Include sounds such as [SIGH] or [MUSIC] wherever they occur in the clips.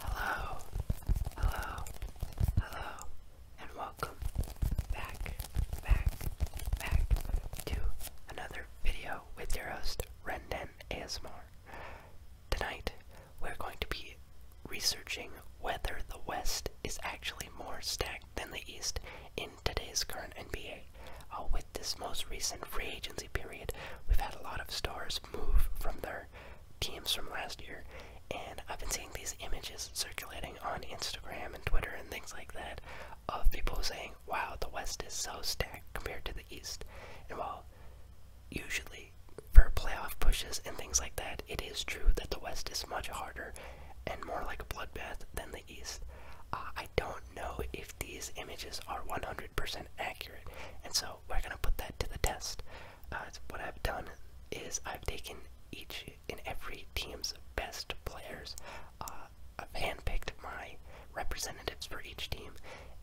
Hello, hello, hello, and welcome back, back, back to another video with your host, Rendon ASMR. Tonight, we're going to be researching whether the West is actually more stacked than the East in today's current NBA. Uh, with this most recent free agency period, we've had a lot of stars move from their teams from last year, and I've been seeing these images circulating on Instagram and Twitter and things like that of people saying, wow, the West is so stacked compared to the East. And while usually for playoff pushes and things like that, it is true that the West is much harder and more like a bloodbath than east. Uh, I don't know if these images are 100% accurate, and so we're going to put that to the test. Uh, what I've done is I've taken each and every team's best players, uh, I've handpicked my representatives for each team,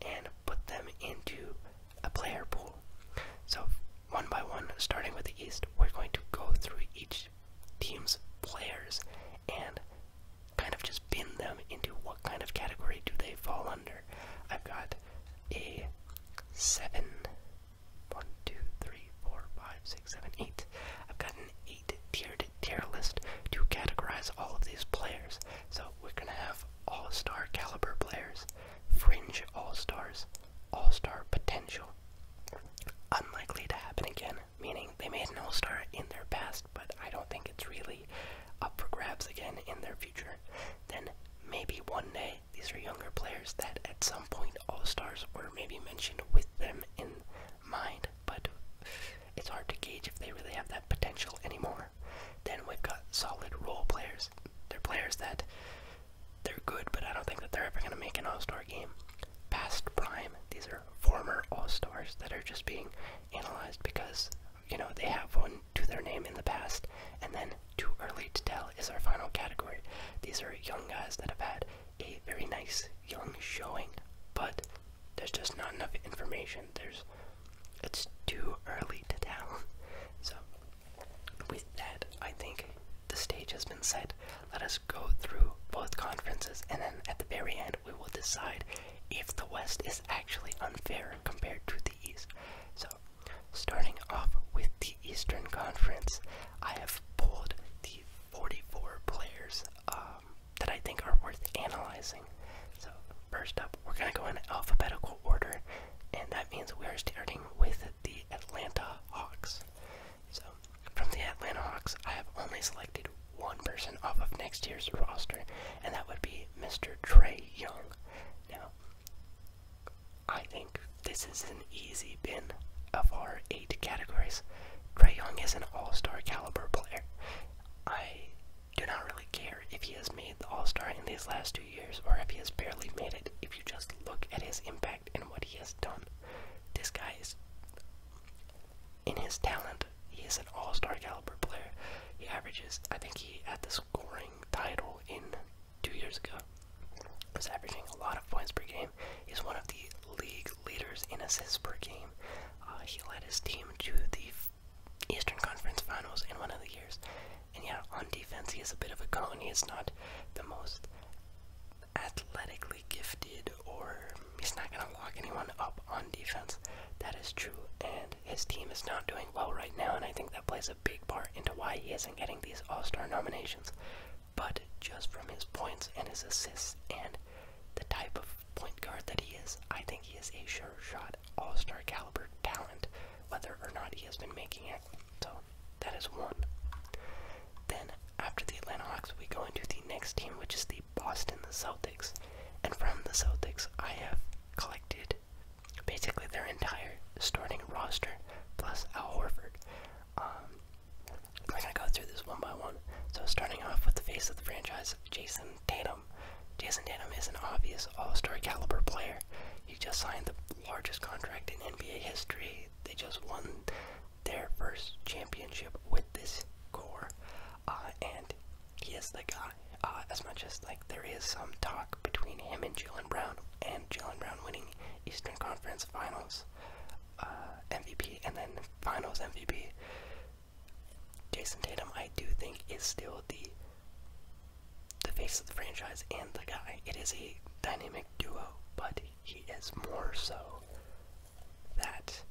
and put them into a player pool. So one by one, starting with the East, we're going to go through each team's players and kind of just bin them into what kind of category do they fall under. I've got a 7. 1, 2, 3, 4, 5, 6, 7, 8. I've got an 8 tiered tier list to categorize all of these players. So we're going to have all star caliber players, fringe all stars, all star potential. Unlikely to happen again, meaning they made an All Star in their past, but I don't think it's really up for grabs again in their future. Then maybe one day these are younger players that at some point All Stars were maybe mentioned with them in mind, but it's hard to gauge if they really have that potential anymore. Then we've got solid role players. They're players that they're good, but I don't think that they're ever going to make an All Star game. Past prime, these are former All Stars that are just being analyzed because you know they have one to their name in the past and then too early to tell is our final category these are young guys that have had a very nice young showing but there's just not enough information there's it's too early to tell [LAUGHS] so with that i think the stage has been set let us go through both conferences and then at the very end we will decide if the West is actually unfair compared to the East. So, starting off with the Eastern Conference, I have pulled the 44 players um, that I think are worth analyzing. So, first up, we're going to go in alphabetical order, and that means we are starting with the Atlanta Hawks. So, from the Atlanta Hawks, I have only selected one person off of next year's roster, and that would be Mr. Trey Young. Now, I think this is an easy bin of our eight categories. Trey Young is an all star caliber player. I do not really care if he has made the all star in these last two years or if he has barely made it. If you just look at his impact and what he has done, this guy is in his talent he is an all-star caliber player. He averages, I think he had the scoring title in two years ago. Was averaging a lot of points per game. He's one of the league leaders in assists per game. Uh, he led his team to the Eastern Conference Finals in one of the years. And yet, on defense, he is a bit of a cone. He is not the most athletically gifted or he's not going to lock anyone up on defense. That is true, and his team is not doing well right now, and I think that plays a big part into why he isn't getting these All Star nominations. But just from his points and his assists and the type of point guard that he is, I think he is a sure shot All Star caliber talent, whether or not he has been making it. So that is one. Then after the Atlanta Hawks, we go into the next team, which is the Boston the Celtics. And from the Celtics, I have collected basically their entire starting roster plus Al Horford. Um, i gonna go through this one by one. So starting off with the face of the franchise, Jason Tatum. Jason Tatum is an obvious all-star caliber player. He just signed the largest contract in NBA history. They just won their first championship with this core. Uh, and he is the guy. Uh, as much as like there is some talk between him and Jalen Brown, and Jalen Brown winning Eastern Conference Finals uh, MVP and then Finals MVP, Jason Tatum I do think is still the the face of the franchise and the guy. It is a dynamic duo, but he is more so that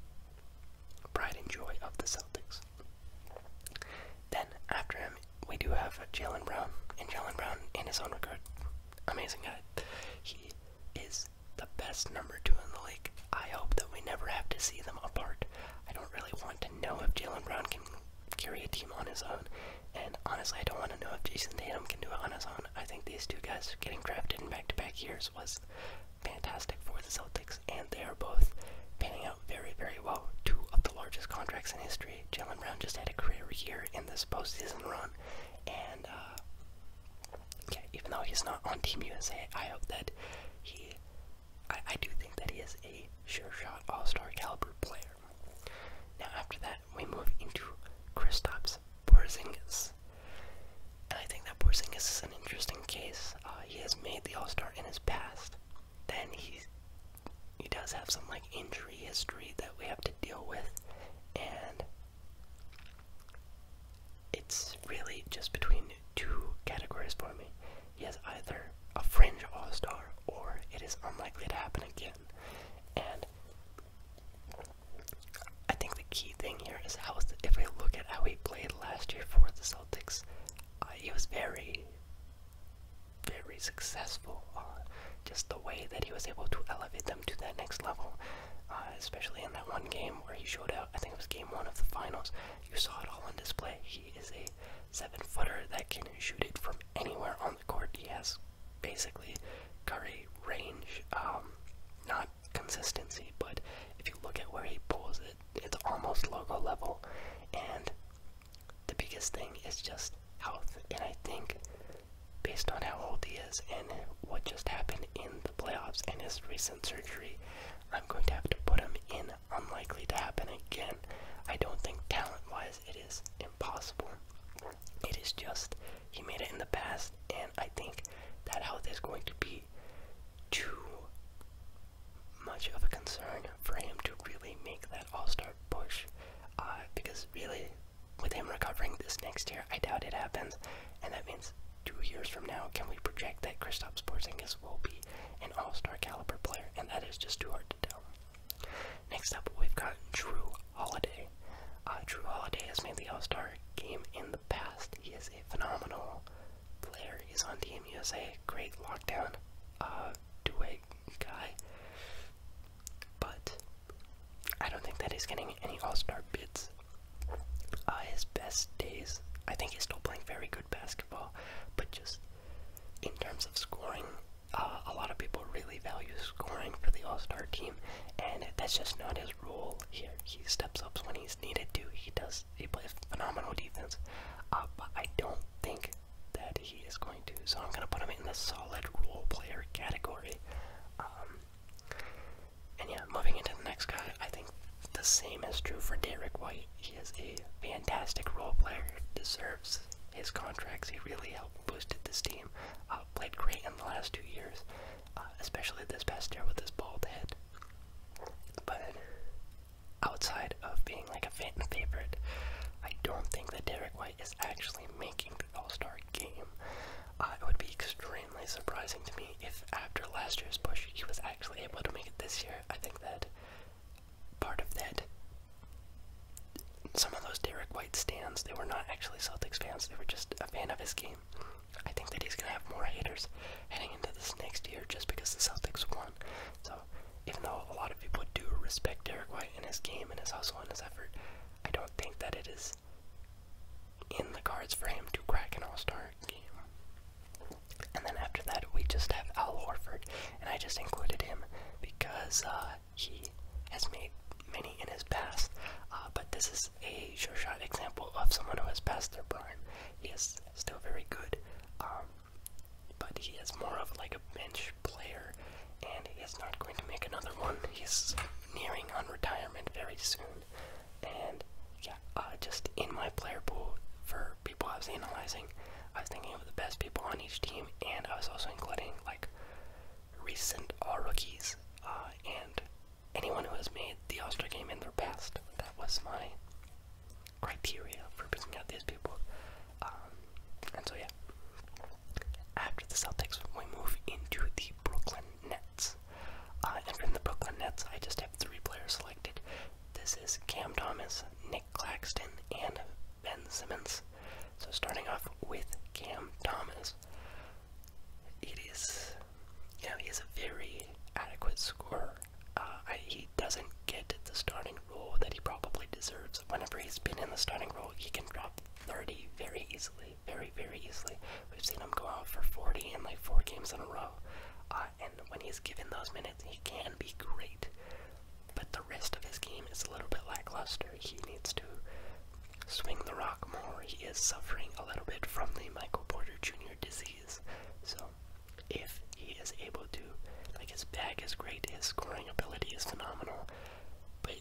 pride and joy of the Celtics. Then after him, we do have Jalen Brown, and Jalen Brown, in his own regard, amazing guy. He is the best number two in the league. I hope that we never have to see them apart. I don't really want to know if Jalen Brown can carry a team on his own, and honestly, I don't want to know if Jason Tatum can do it on his own. I think these two guys getting drafted in back-to-back -back years was fantastic for the Celtics, and they are both panning out very, very well. Two of the largest contracts in history. Jalen Brown just had a career year in this postseason run, and uh, even though he's not on Team USA, I hope that he, I, I do think that he is a sure shot All Star caliber player. Now after that, we move into Kristaps Porzingis, and I think that Porzingis is an interesting case. Uh, he has made the All Star in his past. Then he he does have some like injury history that we have to deal with, and it's really just between two categories for me. He has either a fringe All Star or it is unlikely to happen again, and. I think the key thing here is how, if we look at how he played last year for the Celtics, uh, he was very, very successful. Uh, just the way that he was able to elevate them to that next level, uh, especially in that one game where he showed out. I think it was game one of the finals. You saw it all on display. He is a seven-footer that can shoot it from anywhere on the court. He has basically Curry range, um, not consistency, but if you look at where he pulls it's almost logo level, and the biggest thing is just health. And I think, based on how old he is and what just happened in the playoffs and his recent surgery, I'm going to have to put him in unlikely to happen again. I don't think talent-wise it is impossible. It is just he made it in the past, and I think that health is going to be too much of a concern for him to really make that all star push. Uh, because really, with him recovering this next year, I doubt it happens. And that means two years from now, can we project that Kristaps Porzingis will be an all-star caliber player? And that is just too hard to tell. Next up, we've got Drew Holiday. Uh, Drew Holiday has made the all-star game in the past. He is a phenomenal Blair is on Team USA. Great lockdown, uh, guy. But I don't think that he's getting any All Star bids. Uh, his best days, I think he's still playing very good basketball, but just in terms of scoring, uh, a lot of people really value scoring for the All Star team, and that's just not his role here. He steps up when he's needed to. He does he plays phenomenal defense. Uh, but I don't think that he is going to. So I'm going to put him in the solid role player category. Um, and yeah, moving into the next guy, I think the same is true for Derek White. He is a fantastic role player, deserves his contracts. He really helped boosted this team. Uh, played great in the last two years, uh, especially this past year with his bald head. But outside of being like a fan favorite, I don't think that Derek White is actually making the All Star game. Uh, it would be extremely surprising to me if after last year's push he was actually able to make it this year. I think that part of that, some of those Derek White stands, they were not actually Celtics fans, they were just a fan of his game. I think that he's going to have more haters heading into this next year just because the Celtics won. So, even though a lot of people do respect Derek White and his game and his hustle and his effort, I don't think that it is in the cards for him to crack an All Star game. And then after that, we just have Al Horford, and I just included him because uh, he has made many in his past, uh, but this is a sure shot example of someone who has passed their prime. He is still very good. Um, but he is more of like a bench player, and he is not going to make another one. He's nearing on retirement very soon, and yeah, uh, just in my player pool for people I was analyzing, I was thinking of the best people on each team, and I was also including like recent all rookies uh, and anyone who has made the All Star game in their past. That was my criteria for picking out these people. Um, and so, yeah. After the Celtics, we move into the Brooklyn Nets. Uh, and from the Brooklyn Nets, I just have three players selected. This is Cam Thomas, Nick Claxton, and Ben Simmons. So, starting off with Cam Thomas, it is, you know, he is a very adequate scorer. Uh, he doesn't get the starting role that he probably deserves. Whenever he's been in the starting role, he can drop 30 very easily, very, very easily. We've seen him go out for 40 in like four games in a row. Uh, and when he's given those minutes, he can be great. But the rest of his game is a little bit lackluster. He needs to swing the rock more. He is suffering a little bit from the Michael Porter Jr. disease. So if he is able to. Like his bag is great, his scoring ability is phenomenal, but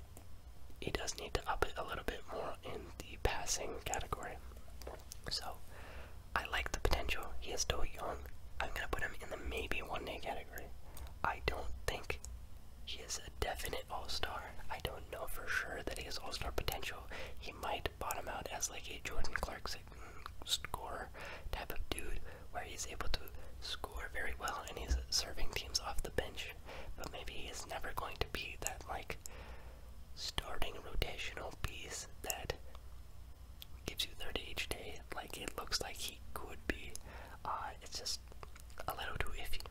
he does need to up it a little bit more in the passing category. So I like the potential. He is still young. I'm gonna put him in the maybe one day category. I don't think he is a definite all star. I don't know for sure that he has all star potential. He might bottom out as like a Jordan Clarkson Score type of dude where he's able to score very well and he's serving teams off the bench, but maybe he's never going to be that like starting rotational piece that gives you 30 each day. Like it looks like he could be. Uh, it's just a little too iffy.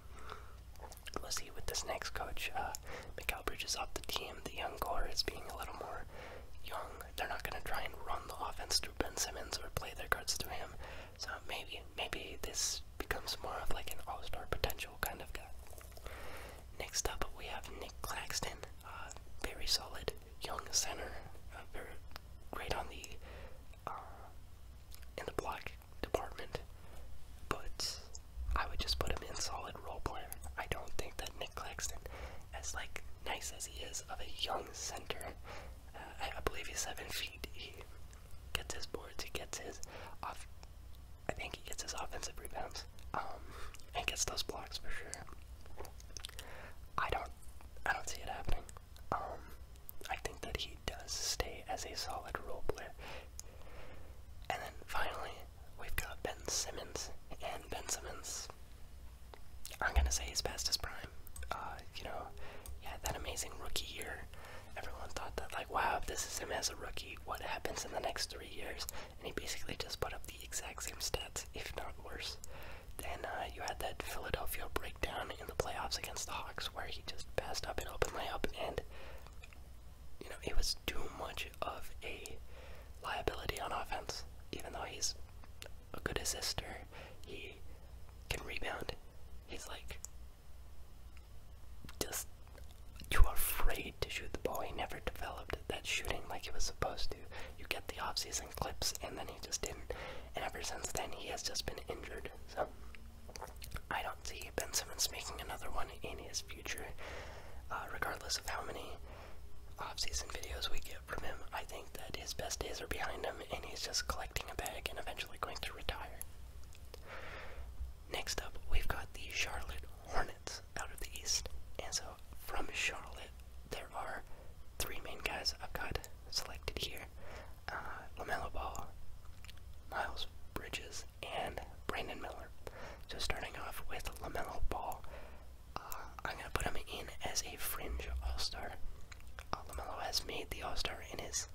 We'll see with this next coach. Uh, Mikael Bridges off the team. The young core is being a little more young they're not going to try and run the offense through Ben Simmons or play their cards to him. So maybe, maybe this becomes more of like an all-star potential kind of guy. Next up, we have Nick Claxton, very solid young center, uh, very great on the uh, in the block department. But I would just put him in solid role player. I don't think that Nick Claxton, as like nice as he is of a young center, uh, I, I believe he's seven feet. He gets his boards, he gets his off. I think he gets his offensive rebounds, um, and gets those blocks for sure. I don't, I don't see it happening. Um, I think that he does stay as a solid role player. And then finally, we've got Ben Simmons, and Ben Simmons I'm gonna say he's best his prime. Uh, you know, yeah, that amazing rookie year. Everyone thought that like, wow, this is him as a rookie, what happens in the next three years? And he basically just put up the exact same stats, if not worse. Then uh, you had that Philadelphia breakdown in the playoffs against the Hawks, where he just passed up an open layup, and you know it was too much of a liability on offense. Even though he's a good assister. He can rebound. He's like just too afraid to shoot the ball. He never developed that shooting like he was supposed to. You get the off-season clips, and then he just didn't. And ever since then, he has just been injured. So I don't see Ben Simmons making another one in his future, uh, regardless of how many off-season videos we get from him, I think that his best days are behind him and he's just collecting a bag and eventually going to retire. Next up, we've got the Charlotte Hornets out of the East. And so from Charlotte, there are three main guys I've got selected here. Uh, LaMelo Ball, Miles Bridges, and Brandon Miller. So starting off with LaMelo Ball, uh, I'm gonna put him in as a fringe all-star. Uh, has made the all-star in his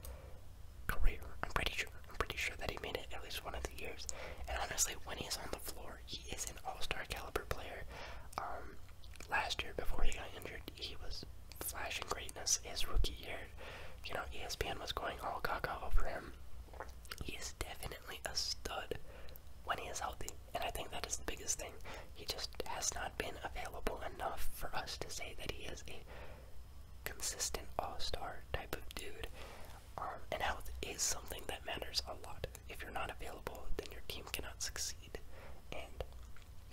career. I'm pretty sure. I'm pretty sure that he made it at least one of the years. And honestly, when he's on the floor, he is an all-star caliber player. Um, last year before he got injured, he was flashing greatness his rookie year. You know, ESPN was going all gaga over him. He is definitely a stud when he is healthy. And I think that is the biggest thing. He just has not been available enough for us to say that he is a consistent all star type of dude. Um, and health is something that matters a lot. If you're not available, then your team cannot succeed. And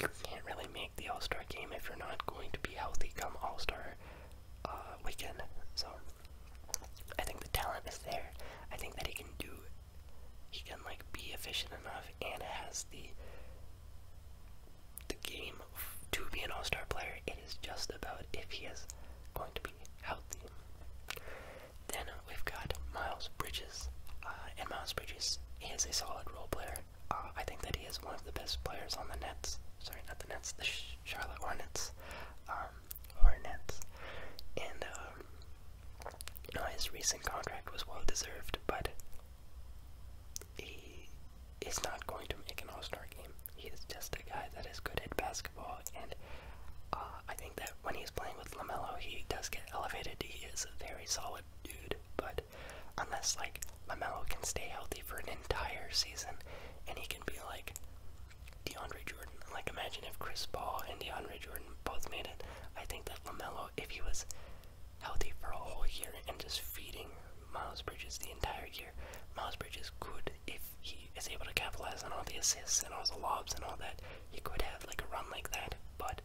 you can't really make the all star game if you're not going to be healthy come all star uh, weekend. So I think the talent is there. I think that he can do he can like be efficient enough and has the the game to be an all-star player. It is just about if he is going to be healthy. Then we've got Miles Bridges, uh, and Miles Bridges is a solid role player. Uh, I think that he is one of the best players on the Nets. Sorry, not the Nets, the Charlotte Hornets. Um, Hornets, and um, now, his recent contract was well deserved, but he is not going to make an All Star game. He is just a guy that is good at basketball, and uh, I think that when he's playing with LaMelo, he does get elevated. He is a very solid dude, but unless, like, LaMelo can stay healthy for an entire season and he can be like DeAndre Jordan, like, imagine if Chris Paul and DeAndre Jordan both made it. I think that LaMelo, if he was healthy for a whole year and just feeding Miles Bridges the entire year, Miles Bridges could, if he is able to capitalize on all the assists and all the lobs and all that, he could have like a run like that. But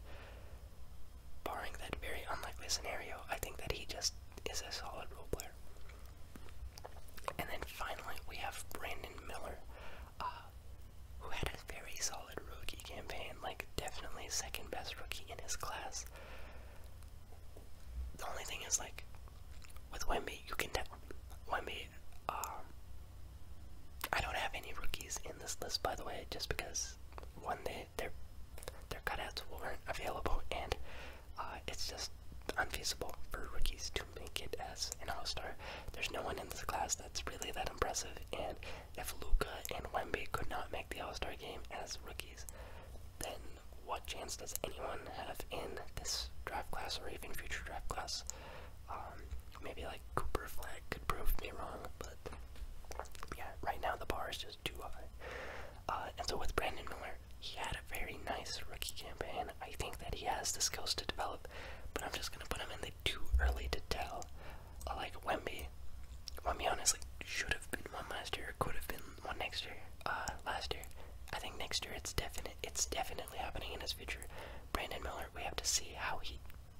barring that very unlikely scenario, I think that he just is a solid role player. And then finally, we have Brandon Miller, uh, who had a very solid rookie campaign, like definitely second best rookie in his class. The only thing is, like, with Wemby, you can tell Wemby. Um, I don't have any rookies in this list, by the way, just because one day their their cutouts weren't available, and uh, it's just unfeasible for rookies to make it as an all-star. There's no one in this class that's really that impressive, and if Luca and Wemby could not make the All-Star game as rookies, then what chance does anyone have in this draft class or even future draft class? Um, maybe like Cooper Flag could prove me wrong, but yeah, right now the bar is just too high. Uh, and so with Brandon Miller, he had a very nice rookie campaign. I think that he has the skills to develop, but I'm just gonna put him in the too early to tell like Wemby. Wemby honestly should have been one last year, could have been one next year. Uh, last year, I think next year it's definite. It's definitely happening in his future. Brandon Miller, we have to see how he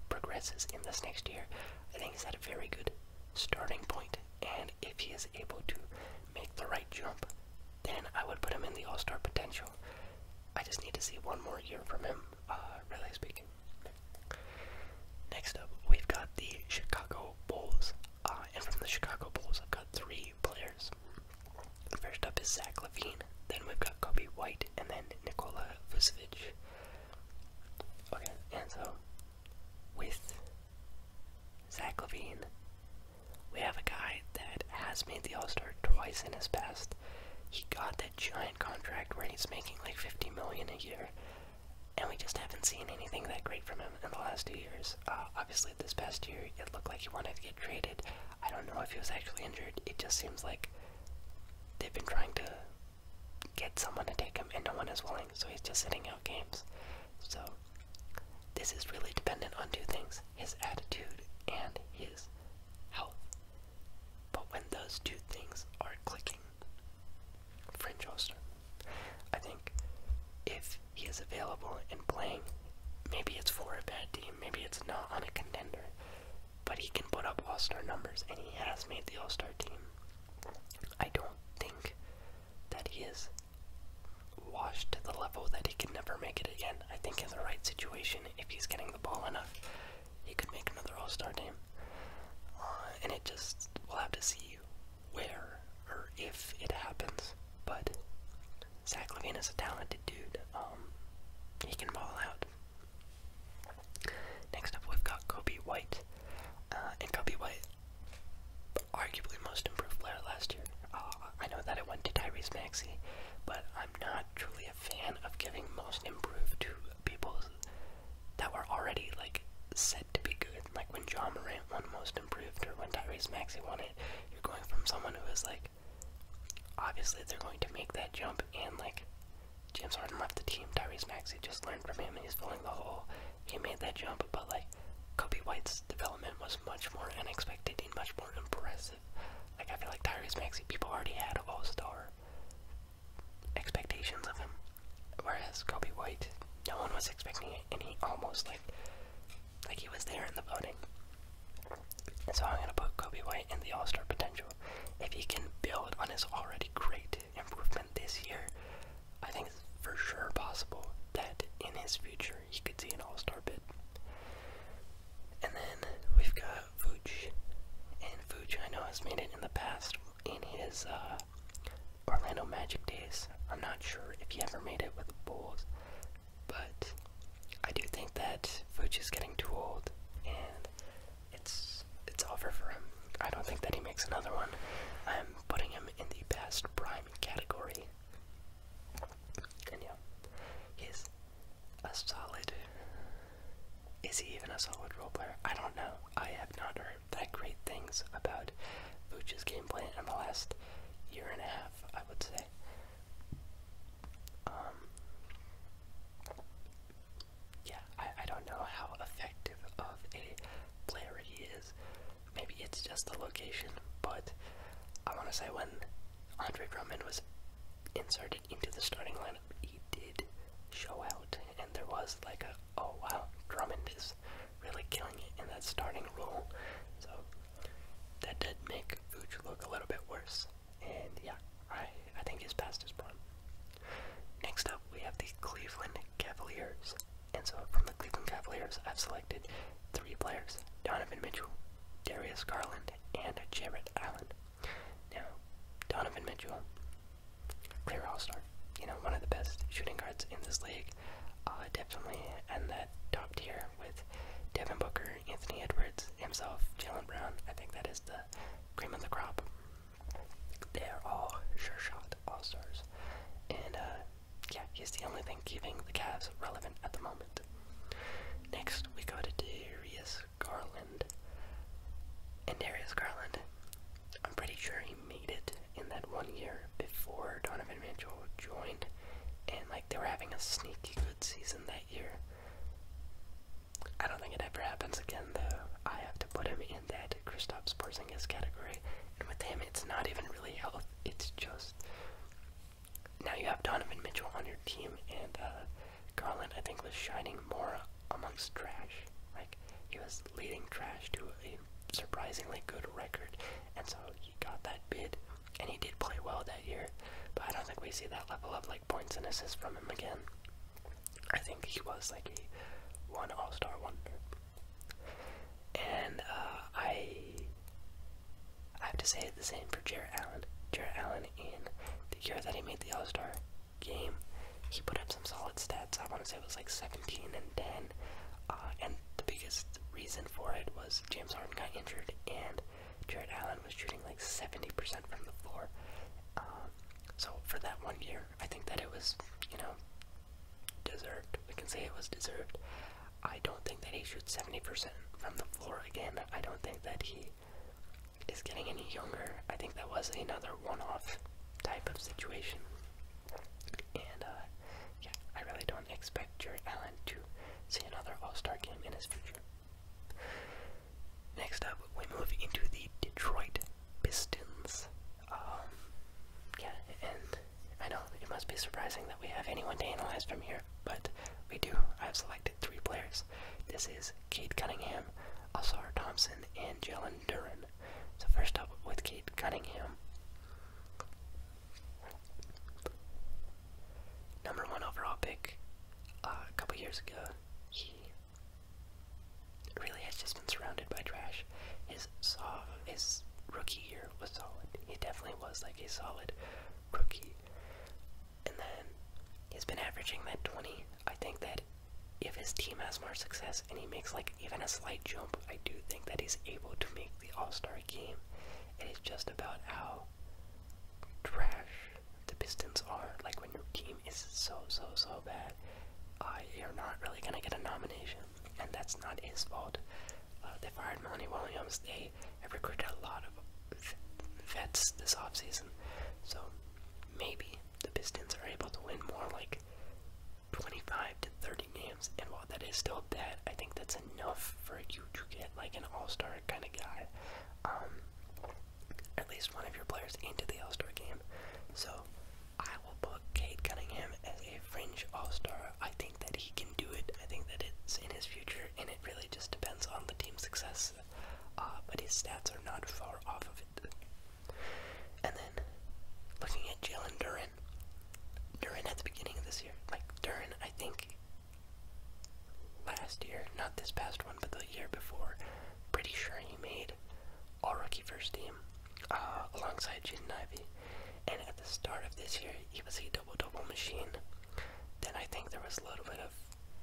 progresses in this next year. I think he's had a very good starting point, and if he is able to make the right jump, then I would put him in the All Star potential. I just need to see one more year from him, uh, really speaking. Next up, we've got the Chicago Bulls. Uh, and from the Chicago Bulls, I've got three players. First up is Zach Levine, then we've got Kobe White, and then Nikola Vucevic. Okay, and so with Zach Levine, we have a guy that has made the All Star twice in his past past, he got that giant contract where he's making like 50 million a year, and we just haven't seen anything that great from him in the last two years. Uh, obviously, this past year it looked like he wanted to get traded. I don't know if he was actually injured. It just seems like they've been trying to get someone to take him, and no one is willing. So he's just sitting out games. So this is really dependent on two things: his attitude and his health. But when those two things are clicking, Fringe Hoster, I think if he is available and playing, maybe it's for a bad team, maybe it's not on a contender, but he can put up All Star numbers and he has made the All Star team. I don't think that he is washed to the level that he can never make it again. I think in the right situation, if he's getting the ball enough, he could make another All Star team. Uh, and it just, we'll have to see where or if it happens. But Zach Levine is a talented dude. Um, he can ball out. Next up, we've got Kobe White. Uh, and Kobe White, arguably most improved player last year. Uh, I know that I went to Tyrese Maxey, but I'm not truly a fan of giving most improved to people that were already like said to be good. Like when John Morant won Most Improved or when Tyrese Maxey won it, you're going from someone who is like, obviously they're going to make that jump and like James Harden left the team. Tyrese Maxey just learned from him and he's filling the hole. He made that jump, but like Kobe White's development was much more unexpected and much more impressive. Like I feel like Tyrese Maxey, people already had a star expectations of him. Whereas Kobe White, no one was expecting it, and he almost like like he was there in the voting. So I'm gonna put Kobe White in the All-Star potential. If he can build on his already great improvement this year, I think it's for sure possible that in his future he could see an All-Star bid. And then we've got Vooch. And Vooch, I know, has made it in the past in his uh, Orlando Magic days. I'm not sure if he ever made it with the Bulls, but I do think that Vooch is getting too old, and it's it's over for him. I don't think that he makes another one. I'm putting him in the best prime category. And yeah, he's a solid. Is he even a solid role player? I don't know. I have not heard that great things about Vooch's game plan in the last year and a half, I would say. Um, yeah, I, I don't know how effective of a player he is. Maybe it's just the location, but I want to say when Andre Drummond was inserted into the starting lineup, he did show out, and there was like a oh wow, Drummond is really killing it in that starting role. So that did make Vooch look a little bit worse, and yeah, I I think his past is prime. Next up, we have the Cleveland Cavaliers, and so from the Cleveland Cavaliers, I've selected three players: Donovan Mitchell, Darius Garland, and Jarrett Allen. Now, Donovan Mitchell, clear all star, you know, one of the best shooting guards in this league, uh, definitely and the top tier with Devin Booker, Anthony Edwards, himself, Jalen Brown. I think that is the cream of the crop. They're all sure shot all stars, and uh, yeah, he's the only thing keeping the Cavs relevant at the moment. Next, we go to Darius Garland and Darius Garland. I'm pretty sure he made it in that one year before Donovan Mitchell joined, and like they were having a sneaky good season that year. I don't think it ever happens again, though. I have to put him in that Kristaps Porzingis category, and with him, it's not even really health. It's just now you have Donovan Mitchell on your team, and uh, Garland, I think, was shining more amongst trash. Like, he was leading trash to a surprisingly good record, and so he got that bid, and he did play well that year, but I don't think we see that level of, like, points and assists from him again. I think he was, like, a one all-star wonder. And, uh, I... I have to say the same for Jared Allen. Jared Allen in the year that he made the All-Star game. He put up some solid stats. I want to say it was like 17 and 10. Uh, and the biggest reason for it was James Harden got injured and Jared Allen was shooting like 70% from the floor. Um, so for that one year, I think that it was, you know, deserved. We can say it was deserved. I don't think that he shoots 70% from the floor again. I don't think that he is getting any younger. I think that was another one-off type of situation. And uh, yeah, I really don't expect Jerry Allen to see another All-Star game in his future. Next up, we move into the Detroit Pistons. Um, yeah, and I know it must be surprising that we have anyone to analyze from here, but we do. I've selected three players. This is Cade Cunningham, Asar Thompson, Johnson, and Duran. So first up with Kate Cunningham. Number one overall pick uh, a couple years ago. He really has just been surrounded by trash. His saw his rookie year was solid. He definitely was like a solid rookie. And then he's been averaging that 20. I think that if his team has more success and he makes like even a slight jump, I do think that he's able to make the All Star game. It is just about how trash the Pistons are. Like when your team is so so so bad, you're not really gonna get a nomination, and that's not his fault. Uh, they fired Monty Williams. They have recruited a lot of vets this offseason, so maybe the Pistons are able to win more like 25 to 30 games. And while that is still bad, I think that's enough for you to get like an all star kind of guy. Um, at least one of your players into the all star game. So I will put Kate Cunningham as a fringe all star. I think that he can do it. I think that it's in his future, and it really just depends on the team's success. Uh, but his stats are not far off of it. And then looking at Jalen Duran. Duran at the beginning of this year. Like Duran, I think last year, not this past one, but the year before, pretty sure he made all rookie first team uh, alongside Jaden Ivy. And at the start of this year, he was a double double machine. Then I think there was a little bit of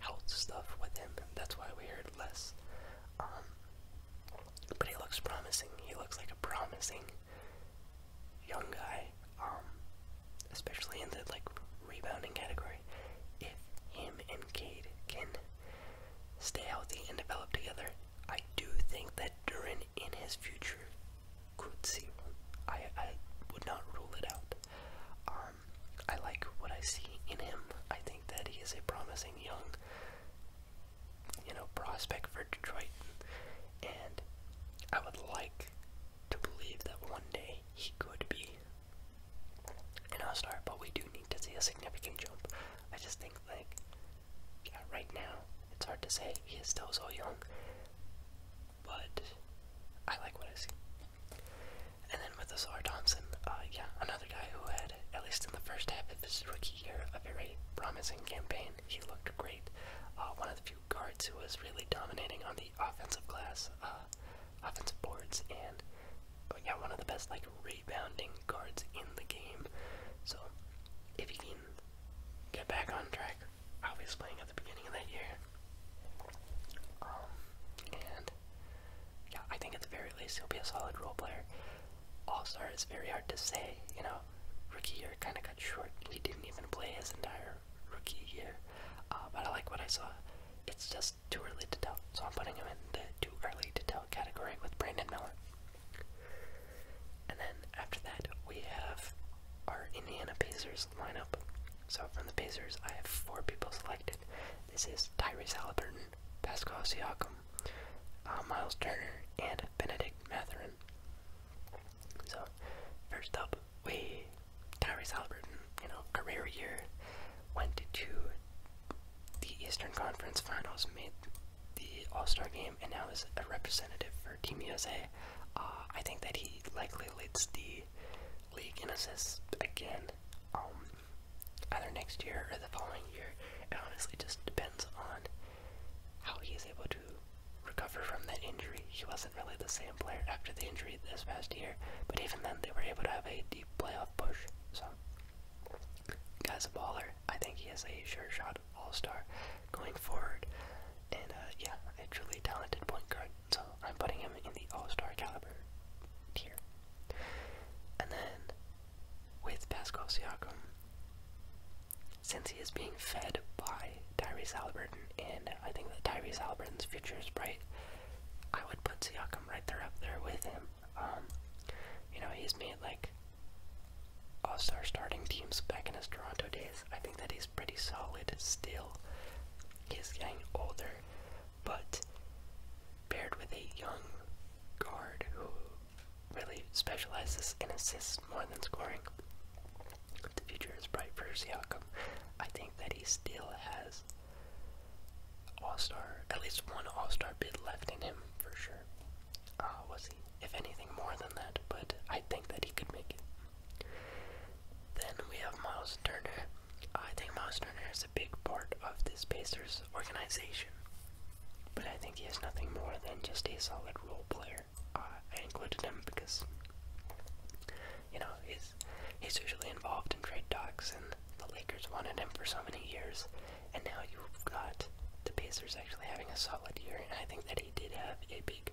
health stuff with him. That's why we heard less um, but he looks promising. He looks like a promising young guy, um, especially in the like rebounding category. If him and Cade can stay healthy and develop together, I do think that Durin in his future could see one. I I would not rule it out. Um, I like what I see in him. I think that he is a promising young, you know, prospect for Detroit, and I would like to believe that one day he could be an all-star. But we do need to see a significant jump. I just think like yeah, right now it's hard to say. He is still so young, but I like what I see. And then with Azar Thompson, uh, yeah, another guy who had, at least in the first half of his rookie year, a very promising campaign. He looked great. Uh, one of the few guards who was really dominating on the offensive class, uh, offensive boards, and yeah, one of the best like rebounding guards in the game. So if he can get back on track, I playing at the beginning of that year. Um, and yeah, I think at the very least he'll be a solid role player. All star is very hard to say, you know. Rookie year kind of got short, he didn't even play his entire rookie year. Uh, but I like what I saw. It's just too early to tell, so I'm putting him in the too early to tell category with Brandon Miller. And then after that, we have our Indiana Pacers lineup. So from the Pacers, I have four people selected. This is Tyrese Halliburton, Pascal Siakam, uh, Miles Turner, and Benedict Matherin. So, first up, we Tyrese Halliburton, you know, career year, went to the Eastern Conference Finals, made the All-Star game, and now is a representative for Team USA. Uh, I think that he likely leads the league in assists again. Um, either next year or the following year. It honestly just depends on how he is able to recover from that injury. He wasn't really the same player after the injury this past year, but even then they were able to have a deep playoff push. So, guy's a baller. I think he is a sure shot all star going forward. And uh, yeah, a truly talented point guard. So I'm putting him in the all star caliber tier. And then with Pascal Siakam. Since he is being fed by Tyrese Halliburton, and I think that Tyrese Halliburton's future is bright, I would put Siakam right there up there with him. Um, you know, he's made like all star starting teams back in his Toronto days. I think that he's pretty solid still. He's getting older, but paired with a young guard who really specializes in assists more than scoring, the future is bright for Siakam. I think that he still has all-star, at least one all-star bid left in him for sure. Uh, was he, if anything, more than that? But I think that he could make it. Then we have Miles Turner. I think Miles Turner is a big part of this Pacers organization. But I think he is nothing more than just a solid role player. Uh, I included him because, you know, he's, he's usually involved in trade talks, and the Lakers wanted him for so many years, and now you've got the Pacers actually having a solid year, and I think that he did have a big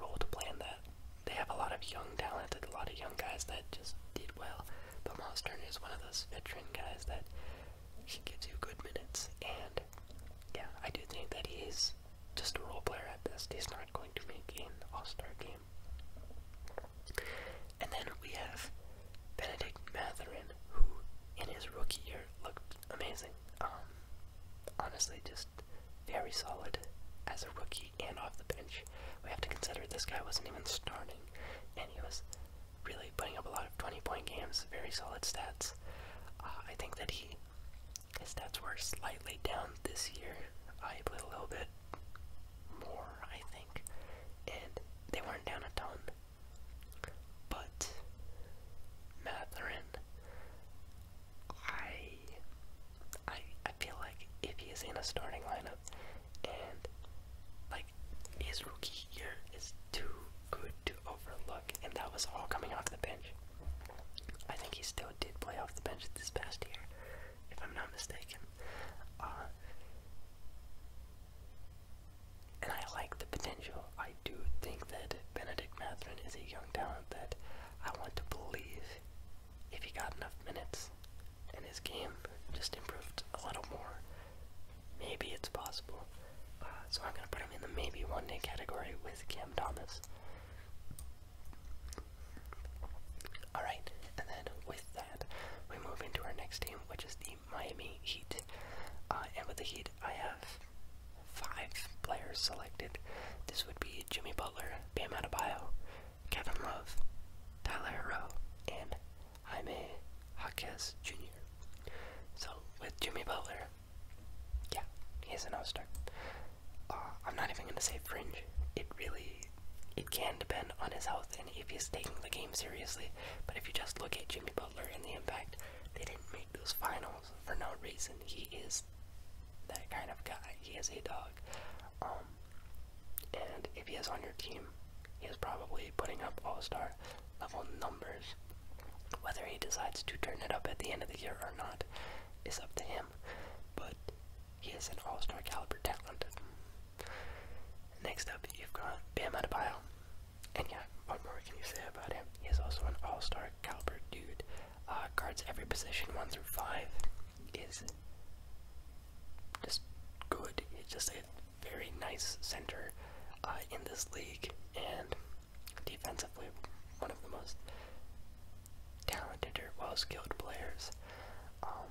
role to play in that. They have a lot of young talent and a lot of young guys that just did well, but Miles Turner is one of those veteran guys that he gives you good minutes. And yeah, I do think that he's just a role player at best. He's not going to make an all-star game. And then we have Benedict Matherin, who in his rookie year looked amazing. Um, honestly, just very solid as a rookie and off the bench. We have to consider this guy wasn't even starting, and he was really putting up a lot of 20 point games, very solid stats. Uh, I think that he, his stats were slightly down this year. I uh, he played a little bit more, I think, and they weren't down a ton. But Matherin, I, I, I feel like if he is in a starting lineup and like his rookie year is too good to overlook, and that was all coming off the bench. I think he still did play off the bench this past year, if I'm not mistaken. Uh, and I like the potential. I do think that Benedict Matherin is a young talent that I want to believe if he got enough minutes and his game just improved a little more, Maybe it's possible. Uh, so I'm gonna put him in the maybe one day category with Cam Thomas. Alright, and then with that, we move into our next team, which is the Miami Heat. Uh, and with the Heat, I have five players selected. This would be Jimmy Butler, Bam Adebayo, Kevin Love, Tyler Hero, and Jaime Jaquez Jr. So with Jimmy Butler, yeah, he's an all-star. Uh, I'm not even gonna say fringe. It really, it can depend on his health and if he's taking the game seriously. But if you just look at Jimmy Butler and the impact, they didn't make those finals for no reason. He is that kind of guy. He is a dog. Um, and if he is on your team, he is probably putting up all-star level numbers. Whether he decides to turn it up at the end of the year or not is up to him, but he is an all star caliber talent. Next up, you've got Bam Adebayo. And yeah, what more can you say about him? He is also an all star caliber dude. Uh, guards every position 1 through 5 is just good. He's just an very nice center uh, in this league, and defensively, one of the most talented or well-skilled players. Um,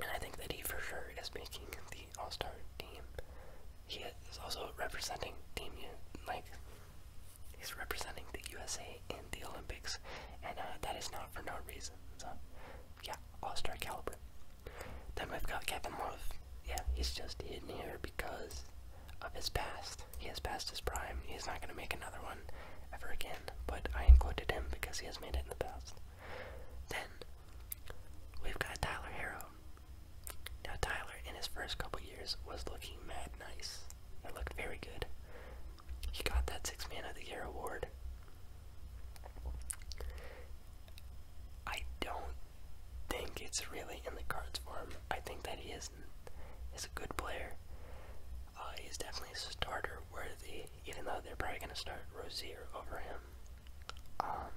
and I think that he for sure is making the All-Star team. He is also representing Team like he's representing the USA in the Olympics, and uh, that is not for no reason yeah, All Star caliber. Then we've got Kevin Love. Yeah, he's just in here because of his past. He has passed his prime. He's not going to make another one ever again, but I included him because he has made it in the past. Then we've got Tyler Harrow. Now, Tyler, in his first couple years, was looking mad nice. It looked very good. He got that Six Man of the Year award. I don't think it's really in the cards for him. I think that he is is a good player. Uh, he's definitely starter worthy, even though they're probably gonna start Rozier over him. Um,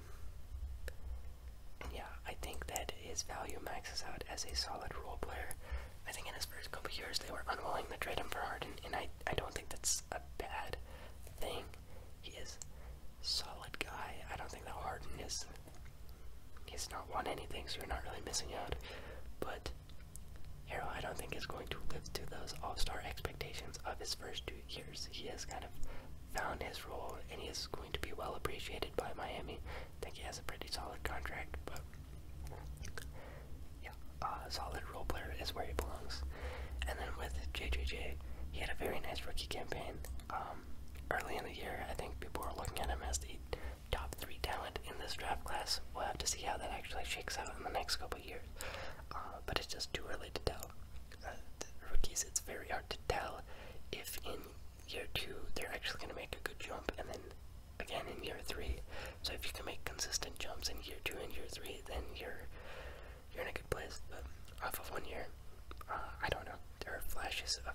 yeah, I think that his value maxes out as a solid role player. I think in his first couple years they were unwilling to trade him for Harden, and I I don't think that's a bad thing. He is solid guy. I don't think that Harden is. He's not won anything, so you're not really missing out. But Harrell, I don't think is going to live to those All-Star expectations of his first two years. He has kind of found his role, and he is going to be well appreciated by Miami. I think he has a pretty solid contract, but yeah, a solid role player is where he belongs. And then with JJJ, he had a very nice rookie campaign. Um, early in the year, I think people were looking at him as the top three talent in this draft class. We'll have to see how that actually shakes out in the next couple years. Uh, but it's just too early to tell. Uh, rookies, it's very hard to tell if in year two they're actually going to make a good jump, and then again in year three. So if you can make consistent jumps in year two and year three, then you're you're in a good place. But off of one year, uh, I don't know. There are flashes of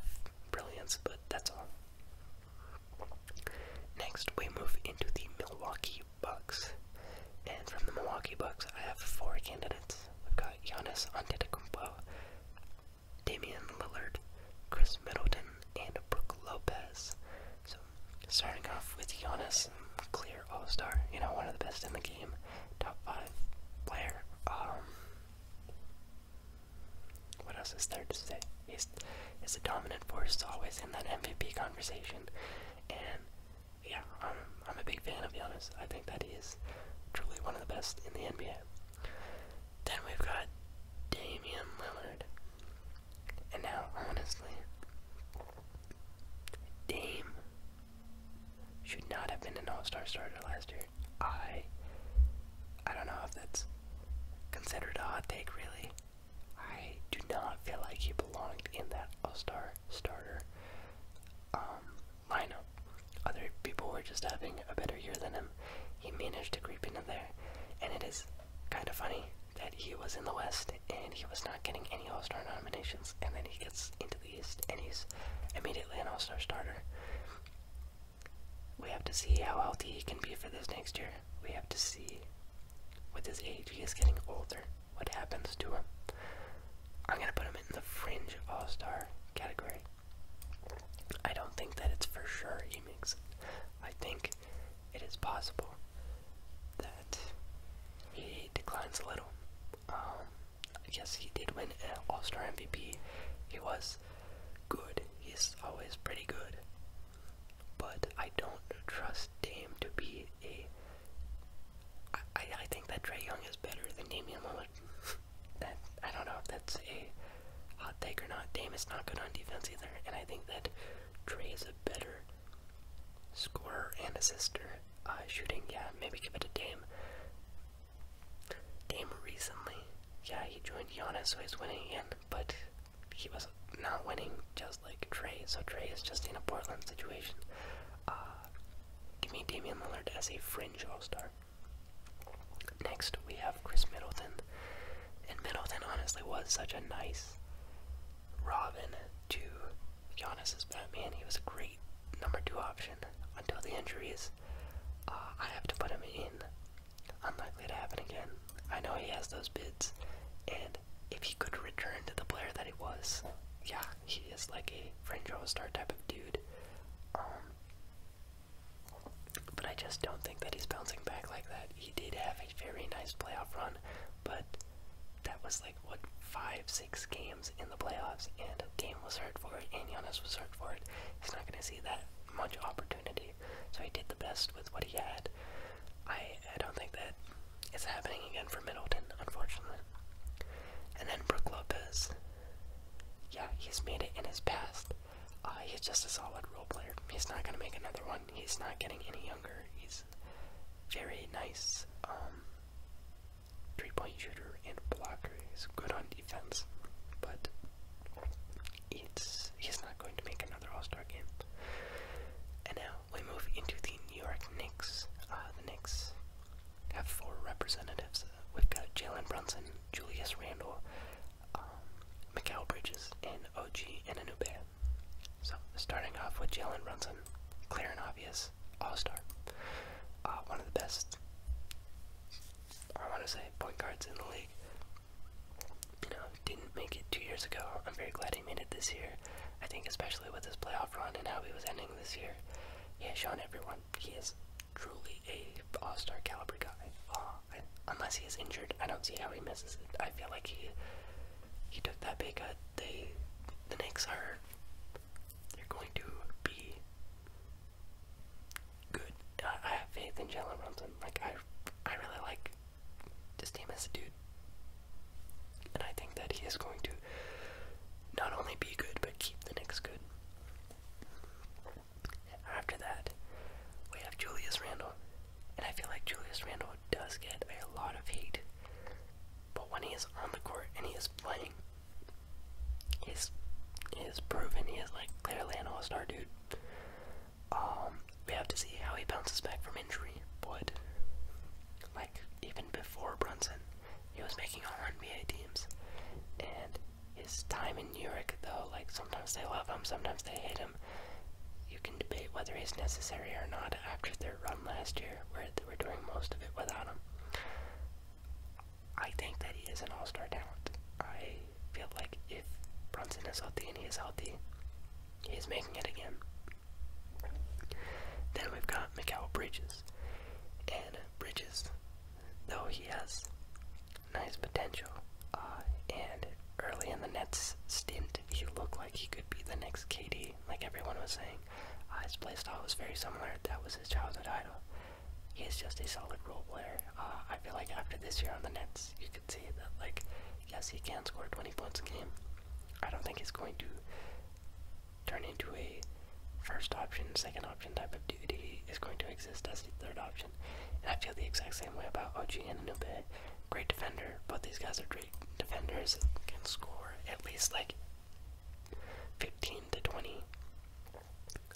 brilliance, but that's all. Next, we move into the Milwaukee Bucks. And from the Milwaukee Bucks, I have four candidates. We've got Giannis Antetokounmpo, Damian Lillard, Chris Middleton, and Brooke Lopez. So, starting off with Giannis, clear all-star, you know, one of the best in the game, top five player. Um, what else is there to say? He's is a dominant force always in that MVP conversation. And yeah, I'm a big fan of Giannis. I think that he is truly one of the best in the NBA. Then we've got Damian Lillard. And now honestly Dame should not have been an all-star starter last year. I I don't know if that's considered a hot take really. I do not feel like he belonged in that all-star starter um lineup. Other people were just having a better year than him. He managed to creep into there. And it is kinda funny that he was in the West and he was not getting any all-star nominations and then he gets into the and he's immediately an all-star starter. We have to see how healthy he can be for this next year. We have to see with his age, he is getting older, what happens to him. I'm gonna put him in the fringe all-star category. I don't think that it's for sure he makes it. I think it is possible that he declines a little. Um, yes, he did win an All Star MVP. He was good. He's always pretty good. But I don't trust Dame to be a. I, I, I think that Trey Young is better than Damian Lillard. [LAUGHS] that I don't know if that's a hot take or not. Dame is not good on defense either, and I think that Trey is a better Score and assister. Uh, shooting, yeah, maybe give it to Dame. Dame recently, yeah, he joined Giannis, so he's winning again, but he was not winning just like Trey, so Trey is just in a Portland situation. Uh, give me Damian Lillard as a fringe all-star. Next, we have Chris Middleton, and Middleton honestly was such a nice Robin to Giannis is Batman. He was a great number two option until the injuries. Uh, I have to put him in. Unlikely to happen again. I know he has those bids, and if he could return to the player that he was, yeah, he is like a fringe star type of dude. Um, but I just don't think that he's bouncing back like that. He did have a very nice playoff run, but that was like what five, six games in the playoffs, and Game was hurt for it, and Yonas was hurt for it. He's not going to see that much opportunity, so he did the best with what he had. I I don't think that is happening again for Middleton, unfortunately. And then Brooke Lopez. Yeah, he's made it in his past. Uh, he's just a solid role player. He's not going to make another one. He's not getting any younger. He's very nice. Um, three point shooter and blocker. is good on defense, but it's he's not going to make another All Star game. And now we move into the New York Knicks. Uh, the Knicks have four representatives. Uh, we've got Jalen Brunson, Julius Randle, um, Mikal Bridges, and OG Ananube. So starting off with Jalen Brunson, clear and obvious is all star. Uh, one of the best, I want to say, point guards in the league. You know, didn't make it two years ago. I'm very glad he made it this year. I think, especially with this playoff run and how he was ending this year, Yeah, Sean, everyone he is truly a all star caliber guy. Uh, unless he is injured, I don't see how he misses it. I feel like he he took that big. cut. They, the Knicks are they're going to be good. I, I have faith in Jalen Brunson. Like I, I really like this team as a dude, and I think that he is going to not only be good but keep the Knicks good. After that, we have Julius Randle, and I feel like Julius Randle does get a lot of hate. But when he is on the court and he is playing, he's is proven he is like clearly an all-star dude. Um, we have to see how he bounces back from injury, but like even before Brunson, he was making all NBA teams, and his time in New York though, like sometimes they love him, sometimes they hate him. You can debate whether he's necessary or not after their run last year, where they were doing most of it without him. I think that he is an all star talent. I feel like if Brunson is healthy and he is healthy, he is making it again. Then we've got Mikhail Bridges. And Bridges, though he has nice potential, uh, and early in the Nets stint, he looked like he could be the next KD, like everyone was saying. Uh, his playstyle was very similar. That was his childhood idol. He's just a solid role player. Uh, I feel like after this year on the Nets, you can see that, like, yes, he can score 20 points a game. I don't think he's going to turn into a first option, second option type of dude. He is going to exist as the third option. And I feel the exact same way about OG and Anube. Great defender, but these guys are great defenders. Can score at least like 15 to 20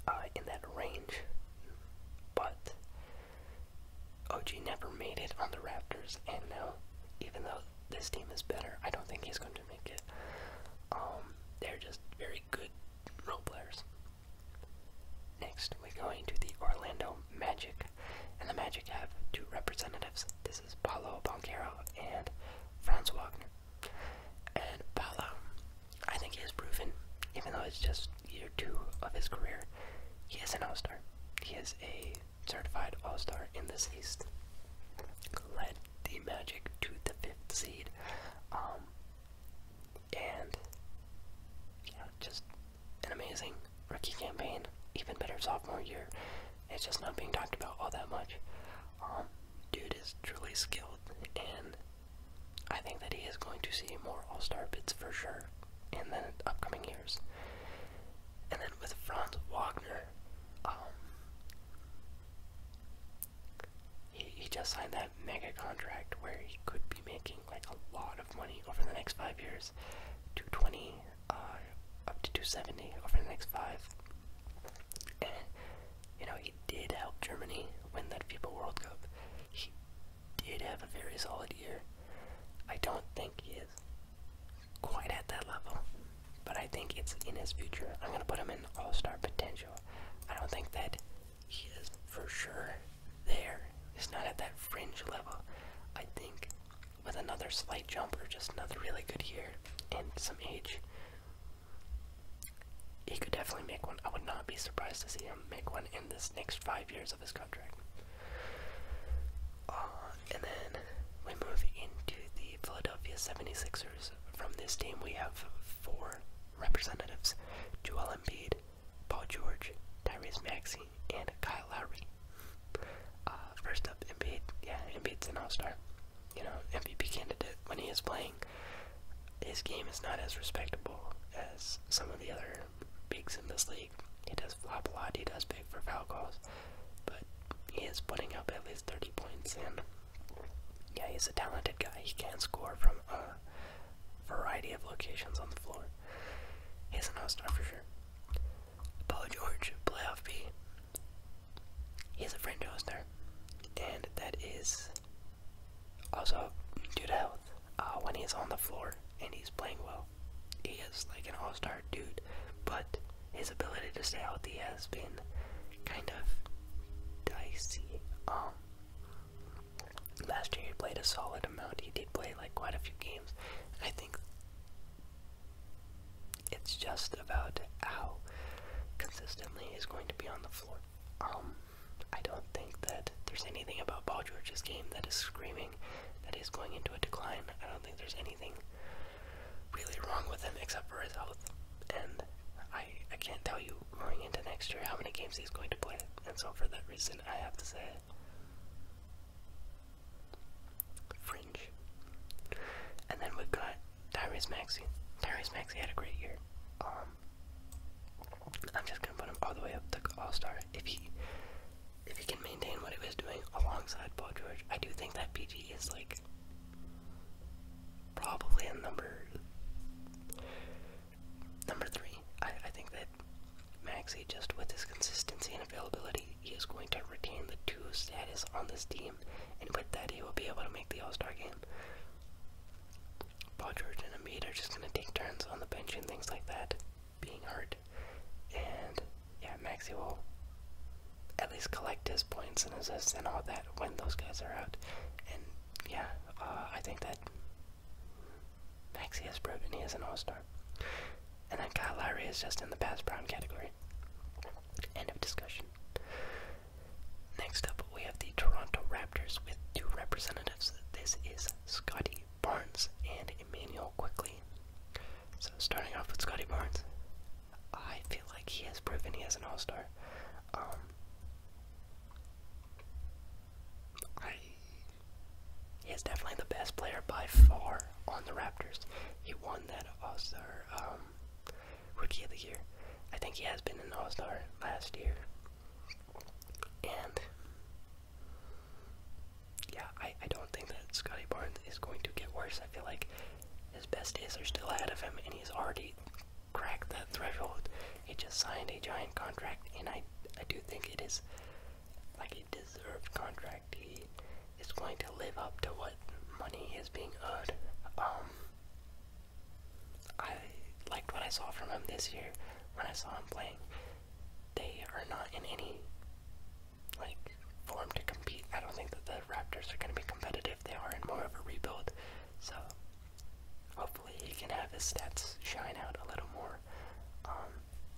uh, in that range, but OG never made it on the Raptors, and now, even though this team is better, I don't think he's going to make it. Um, they're just very good role players. Next, we're going to the Orlando Magic, and the Magic have two representatives. This is Paolo Banquero and Franz Wagner. And Palau, I think he has proven, even though it's just year two of his career, he is an all star. He is a certified all star in this East. Led the Magic to the fifth seed. Um, and, yeah, just an amazing rookie campaign. Even better sophomore year. It's just not being talked about all that much. Um, dude is truly skilled, and I think that he is going to see more All Star bids for sure in the upcoming years. And then with Franz Wagner, um, he, he just signed that mega contract where he could be making like a lot of money over the next five years 220 uh, up to 270 over the next five. You know, he did help Germany win that FIFA World Cup. He did have a very solid year. I don't think he is quite at that level, but I think it's in his future. I'm going to put him in all star potential. I don't think that he is for sure there. He's not at that fringe level. I think with another slight jumper, just another really good year and some age, he could definitely make one. I would not be surprised to see him make one in this next five years of his contract. Uh, and then we move into the Philadelphia 76ers. From this team, we have four representatives Joel Embiid, Paul George, Tyrese Maxey, and Kyle Lowry. Uh, first up, Embiid. Yeah, Embiid's an all star you know, MVP candidate when he is playing. His game is not as respectable as some of the other bigs in this league. He does flop a lot, he does pick for foul calls, but he is putting up at least 30 points, in. yeah, he's a talented guy. He can score from a variety of locations on the floor. He's an all-star for sure. Paul George, playoff B. He is a franchise and that is also due to health. Uh, when he's on the floor and he's playing well, he is like an all-star dude. But his ability to stay healthy has been kind of dicey. Um, last year he played a solid amount. He did play like quite a few games. I think it's just about how consistently he's going to be on the floor. Um, I don't think that there's anything about Paul George's game that is screaming that he's going into a decline. I don't think there's anything really wrong with him except for his health. And I, I can't tell you going into next year how many games he's going to play. And so for that reason, I have to say fringe. And then we've got Tyrese Maxey. Tyrese Maxey had a great year. Um, I'm just gonna put him all the way up to All-Star. If he, if he can maintain what he was doing alongside Paul George, I do think that PG is like probably a number number three. I think that Maxey, just with his consistency and availability, he is going to retain the two status on this team, and with that, he will be able to make the All-Star game. Paul George and Embiid are just going to take turns on the bench and things like that, being hurt. And yeah, Maxi will at least collect his points and assists and all that when those guys are out. And yeah, uh, I think that Maxi has proven he is an all star. And then Kyle Lowry is just in the past brown category. End of discussion. Next up, we have the Toronto Raptors with two representatives. This is Scotty Barnes and Emmanuel Quickly. So, starting off with Scotty Barnes, I feel like he has proven he is an all star. Um, he is definitely the best player by far on the Raptors. He won that All Star um, Rookie of the Year. I think he has been an All Star last year. And yeah, I, I don't think that Scotty Barnes is going to get worse. I feel like his best days are still ahead of him, and he's already cracked the threshold. He just signed a giant contract, and I, I do think it is like a deserved contract. He is going to live up to what money is being earned. Um, I liked what I saw from him this year when I saw him playing. They are not in any like form to compete. I don't think that the Raptors are going to be competitive. They are in more of a rebuild, so hopefully he can have his stats shine out a little more. Um,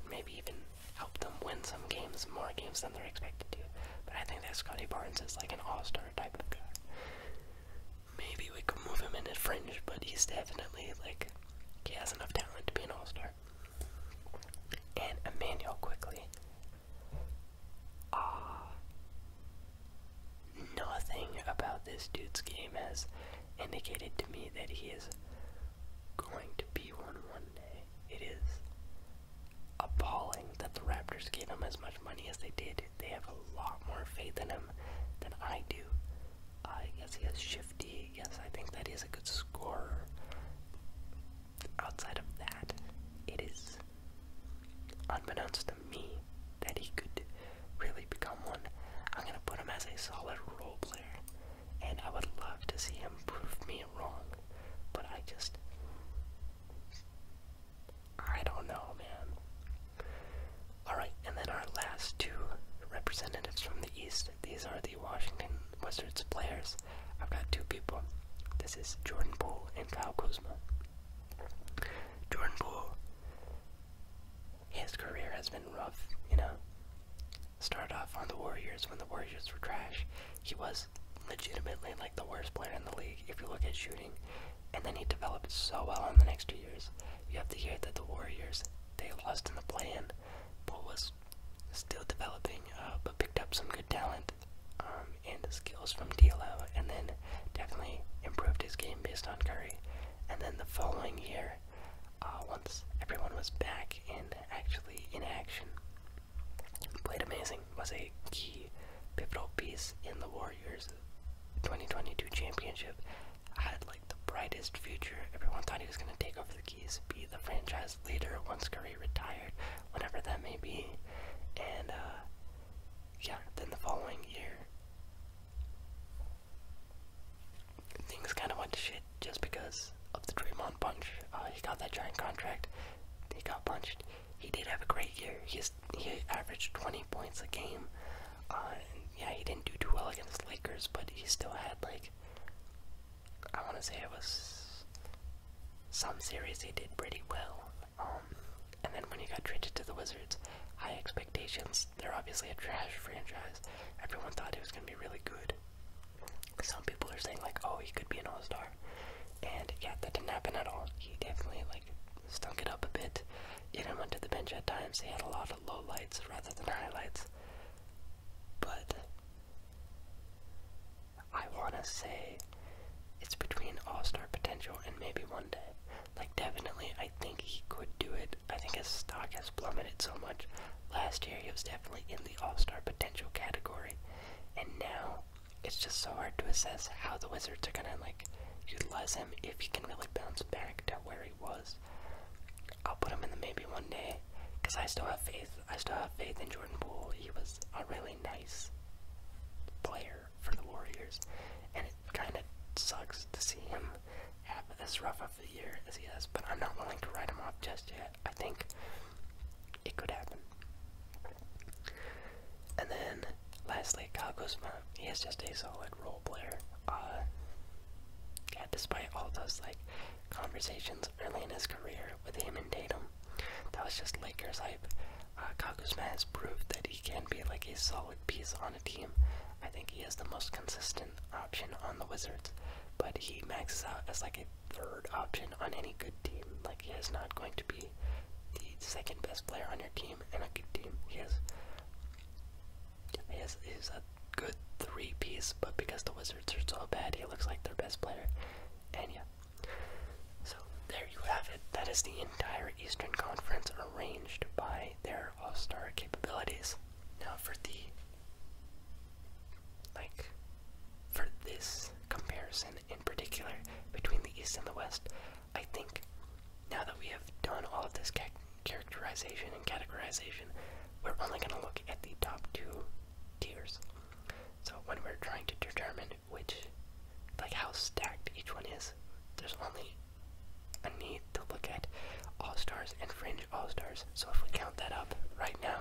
maybe even help them win some games, more games than they're expected to. But I think that Scotty Barnes is like an all-star type of guy. Maybe we could move him in into fringe, but he's definitely like he has enough talent to be an all star. And Emmanuel quickly. Ah, nothing about this dude's game has indicated to me that he is going to be one one day. It is appalling that the Raptors gave him as much money as they did they have a lot more faith in him than I do. I guess he has shifty. Yes, I think that is a good scorer. Outside of that, it is unbeknownst to me that he could really become one. I'm gonna put him as a solid role player, and I would love to see him prove me wrong. But I just I don't know, man. Alright, and then our last two representatives from the East. These are the Washington Wizards players. I've got two people. This is Jordan Poole and Kyle Kuzma. Jordan Poole, his career has been rough, you know. Started off on the Warriors when the Warriors were trash. He was legitimately like like the worst player in the league if you look at shooting, and then he developed so well in the next two years. You have to hear that the Warriors they lost in the play-in, but was still developing, uh, but picked up some good talent um, and skills from D'Lo, and then definitely improved his game based on Curry. And then the following year, uh, once everyone was back and actually in action, played amazing was a key pivotal piece in the Warriors' 2022 championship. Had like the brightest future. Everyone thought he was going to take over the keys, be the franchise leader once Curry retired, whenever that may be. And uh, yeah, then the following year, things kind of went to shit just because of the Draymond punch. Uh, he got that giant contract. He got punched he did have a great year. He's he averaged 20 points a game. Uh, yeah, he didn't do too well against the Lakers, but he still had like I want to say it was some series he did pretty well. Um, and then when he got traded to the Wizards, high expectations. They're obviously a trash franchise. Everyone thought he was going to be really good. Some people are saying like, oh, he could be an all-star, and yeah, that didn't happen at all. He definitely like stunk it up a bit. Even went to the bench at times. He had a lot of low lights rather than highlights. But I wanna say it's between all-star potential and maybe one day. Like definitely, I think he could do it. I think his stock has plummeted so much. Last year he was definitely in the all-star potential category, and now it's just so hard to assess how the Wizards are gonna like utilize him if he can really bounce back to where he was. I'll put him in the maybe one day, cause I still have faith. I still have faith in Jordan Poole. He was a really nice player for the Warriors, and it kind of sucks to see him have this rough of a year as he has. But I'm not willing to write him off just yet. I think it could happen. And then, lastly, Kyle He is just a solid role player. Uh, yeah, despite all those like conversations early in his career with him and Tatum, that was just Lakers hype. Uh, Kyle has proved that he can be like a solid piece on a team. I think he is the most consistent option on the Wizards, but he maxes out as like a third option on any good team. Like he is not going to be the second best player on your team, and a good team. He has, he has, he's a good three piece, but because the Wizards are so bad, he looks like their best player. And yeah. So there you have it. That is the entire Eastern Conference arranged by their All Star capabilities. Now for the like for this comparison in particular between the East and the West, I think now that we have done all of this characterization and categorization, we're only going to look at the top two tiers. So when we're trying to determine which, like how stacked each one is, there's only a need to look at all stars and fringe all stars. So if we count that up right now,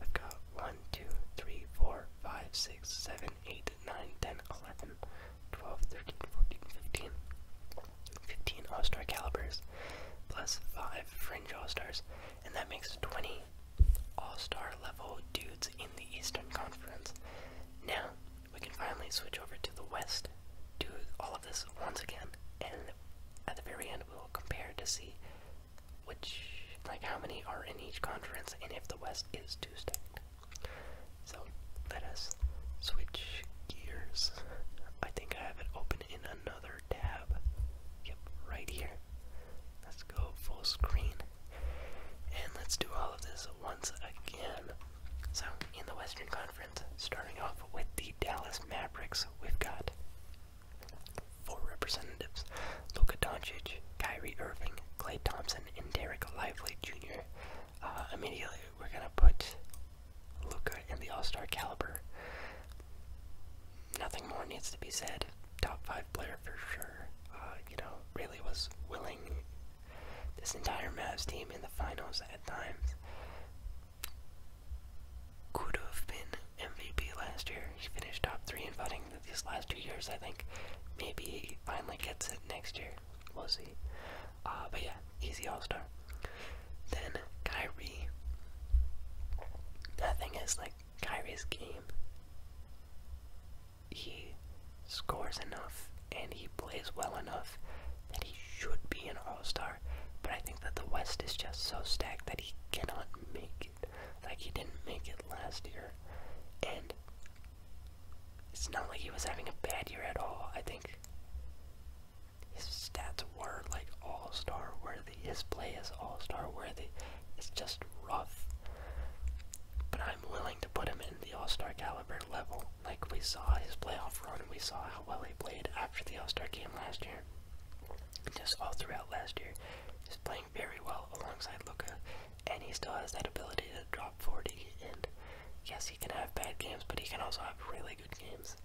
we've got 1, 2, 3, 4, 5, 6, 7, 8, 9, 10, 11. 12, 13, 14, 15. 15 All Star calibers plus 5 fringe All Stars, and that makes 20 All Star level dudes in the Eastern Conference. Now, we can finally switch over to the West, do all of this once again, and at the very end, we will compare to see which, like, how many are in each conference and if the West is too stacked. So let us switch gears. I think I have it open in another tab. Yep, right here. Let's go full screen. And let's do all of this once again. So, in the Western Conference, starting off with the Dallas Mavericks, we've got four representatives Luka Doncic, Kyrie Irving, Clay Thompson, and Derek Lively Jr. Uh, immediately, we're going to put Luca in the All Star caliber. Nothing more needs to be said. Top five player for sure. Uh, you know, really was willing this entire Mavs team in the finals at times. Could have been MVP last year. He finished top three in voting these last two years, I think. Maybe he finally gets it next year. We'll see. Uh, but yeah, easy All Star. Then Kyrie. That thing is like Kyrie's game. He scores enough and he plays well enough that he should be an All Star. But I think that the West is just so stacked that he cannot make it. Like he didn't make it last year, and it's not like he was having a bad year at all. I think his stats were like all star worthy. His play is all star worthy. It's just rough. But I'm willing to put him in the all star caliber level. Like we saw his playoff run, we saw how well he played after the all star game last year. Just all throughout last year. He's playing very well alongside Luca and he still has that ability to drop 40. And yes, he can have bad games, but he can also have really good games.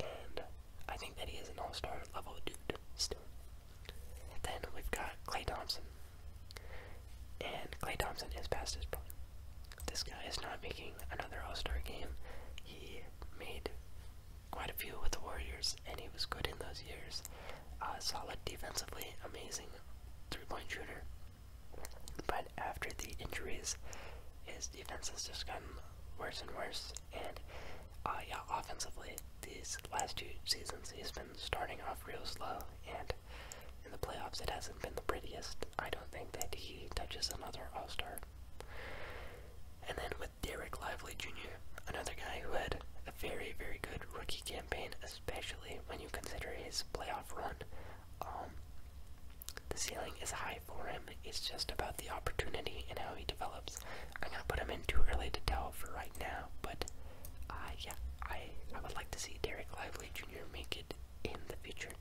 And I think that he is an all star level dude still. Then we've got Clay Thompson. And Clay Thompson has passed his prime. This guy is not making another all star game. He made quite a few with the Warriors, and he was good in those years. Uh, solid defensively, amazing three point shooter. But after the injuries, his defense has just gotten worse and worse. And uh, yeah, offensively, these last two seasons he's been starting off real slow. And in the playoffs, it hasn't been the prettiest. I don't think that he touches another All Star. And then with Derek Lively Jr., another guy who had a very, very good rookie campaign, especially when you consider his playoff run. Um, the ceiling is high for him. It's just about the opportunity and how he develops. I'm gonna put him in too early to tell for right now, but uh, yeah, I I would like to see Derek Lively Jr. make it in the future.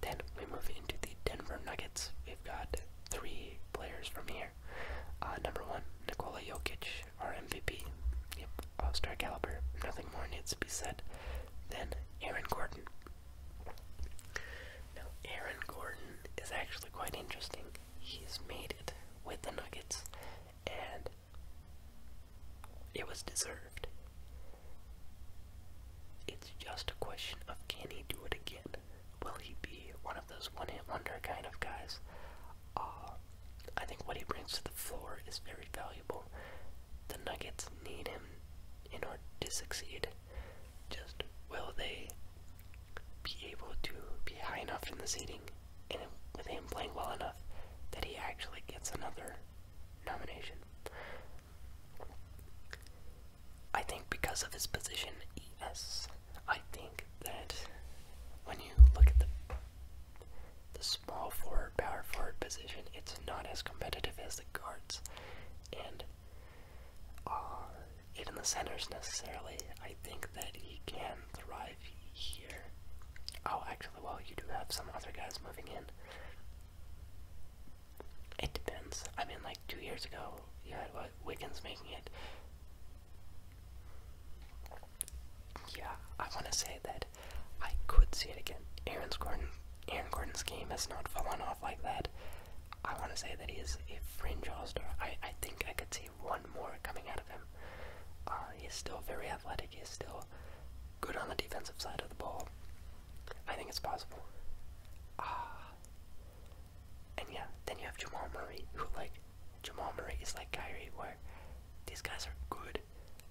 Then we move into the Denver Nuggets. We've got three players from here. Uh, number one, Nikola Jokic our MVP. Yep, all star caliber. Nothing more needs to be said than Aaron Gordon. Aaron Gordon is actually quite interesting. He's made it with the Nuggets, and it was deserved. It's just a question of can he do it again? Will he be one of those one hit wonder kind of guys? Uh, I think what he brings to the floor is very valuable. The Nuggets need him in order to succeed. Just will they be able to be high enough in the seating and with him playing well enough that he actually gets another nomination? I think because of his position, yes. I think that when you look at the the small forward, power forward position, it's not as competitive as the guards. And even the centers necessarily, I think that he can thrive here. Oh, actually, well, you do have some other guys moving in. It depends. I mean, like two years ago, you had Wiggins making it yeah, I want to say that I could see it again. Aaron's Gordon, Aaron Gordon's game has not fallen off like that. I want to say that he is a fringe all-star. I, I think I could see one more coming out of him. Uh, he's still very athletic. He's still good on the defensive side of the ball. I think it's possible. Uh, and yeah, then you have Jamal Murray, who like Jamal Murray is like Kyrie, where these guys are good,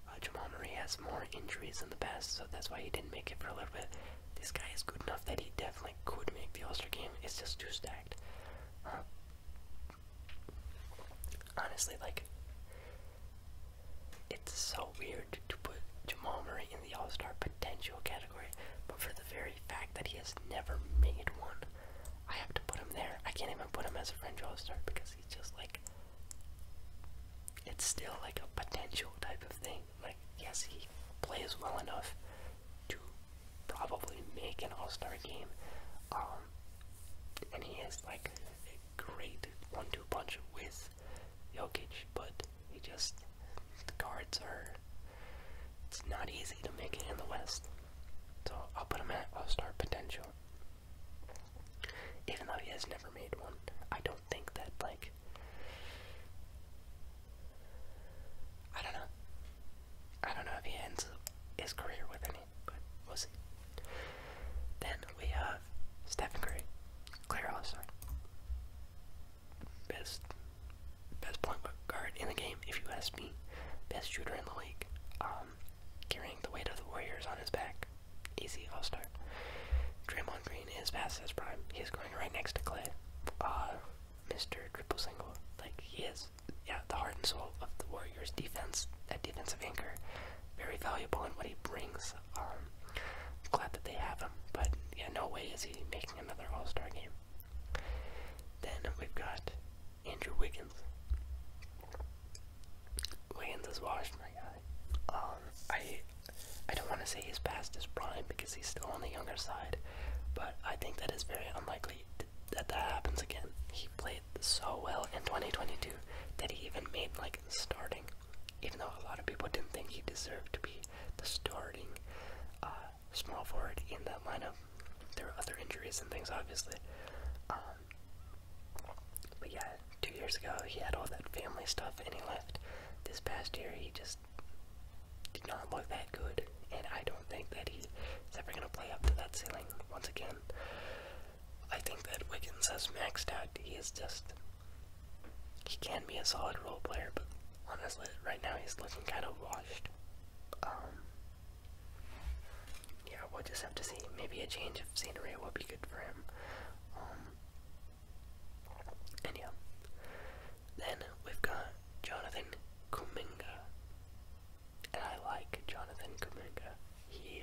uh, Jamal Murray has more injuries in the past, so that's why he didn't make it for a little bit. This guy is good enough that he definitely could make the All-Star game. It's just too stacked. honestly, like, it's so weird to put Jamal Murray in the All-Star potential category, but for the very fact that he has never made one, I have to put him there. I can't even put him as a fringe All-Star because he's just like it's still like a potential type of thing. Like, yes, he plays well enough to probably make an all star game. Um, and he has like a great one two punch with Jokic, but he just, the guards are, it's not easy to make it in the West. So I'll put him at all star potential. Even though he has never made one, I don't think that, like. I don't know. I don't know if he ends his career with any, but we'll see. Then we have Stephen Curry, Claire All-Star. Best, best point guard in the game, if you ask me. Best shooter in the league. Uh, um, carrying the weight of the Warriors on his back. Easy all-star. Draymond Green is past his prime. He is going right next to Clay. Uh, Mr. Triple Single. Like, he is, yeah, the heart and soul of the Warriors' defense, that defensive anchor. Very valuable in what he brings. I'm um, glad that they have him, but yeah, no way is he making another all-star game. Then we've got Andrew Wiggins. Wiggins is washed, my guy. Um, I, I don't want to say he's past his prime because he's still on the younger side, but I think that is very unlikely that that happens again. He played so well in 2022 that he even made like starting, even though a lot of people didn't think he deserved to be the starting uh, small forward in that lineup. There were other injuries and things, obviously. Um, but yeah, two years ago he had all that family stuff and he left. This past year he just did not look that good, and I don't think that he's ever going to play up to that ceiling once again. I think that Wiggins has maxed out. He is just. He can be a solid role player, but honestly, right now he's looking kind of washed. Um, yeah, we'll just have to see. Maybe a change of scenery will be good for him. Um, and yeah. Then we've got Jonathan Kuminga. And I like Jonathan Kuminga. He,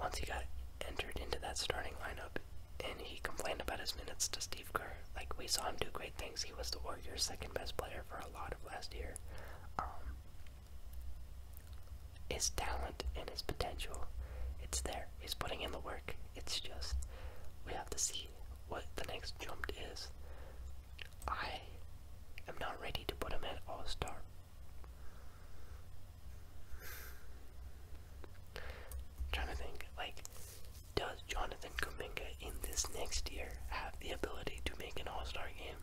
once he got entered into that starting lineup, and he complained about his minutes to Steve Kerr. Like, we saw him do great things. He was the Warriors' second best player for a lot of last year. Um, his talent and his potential. It's there. He's putting in the work. It's just we have to see what the next jump is. I am not ready to put him at all star. trying to think, like, does Jonathan Kuminga in this next year have the ability to make an all star game?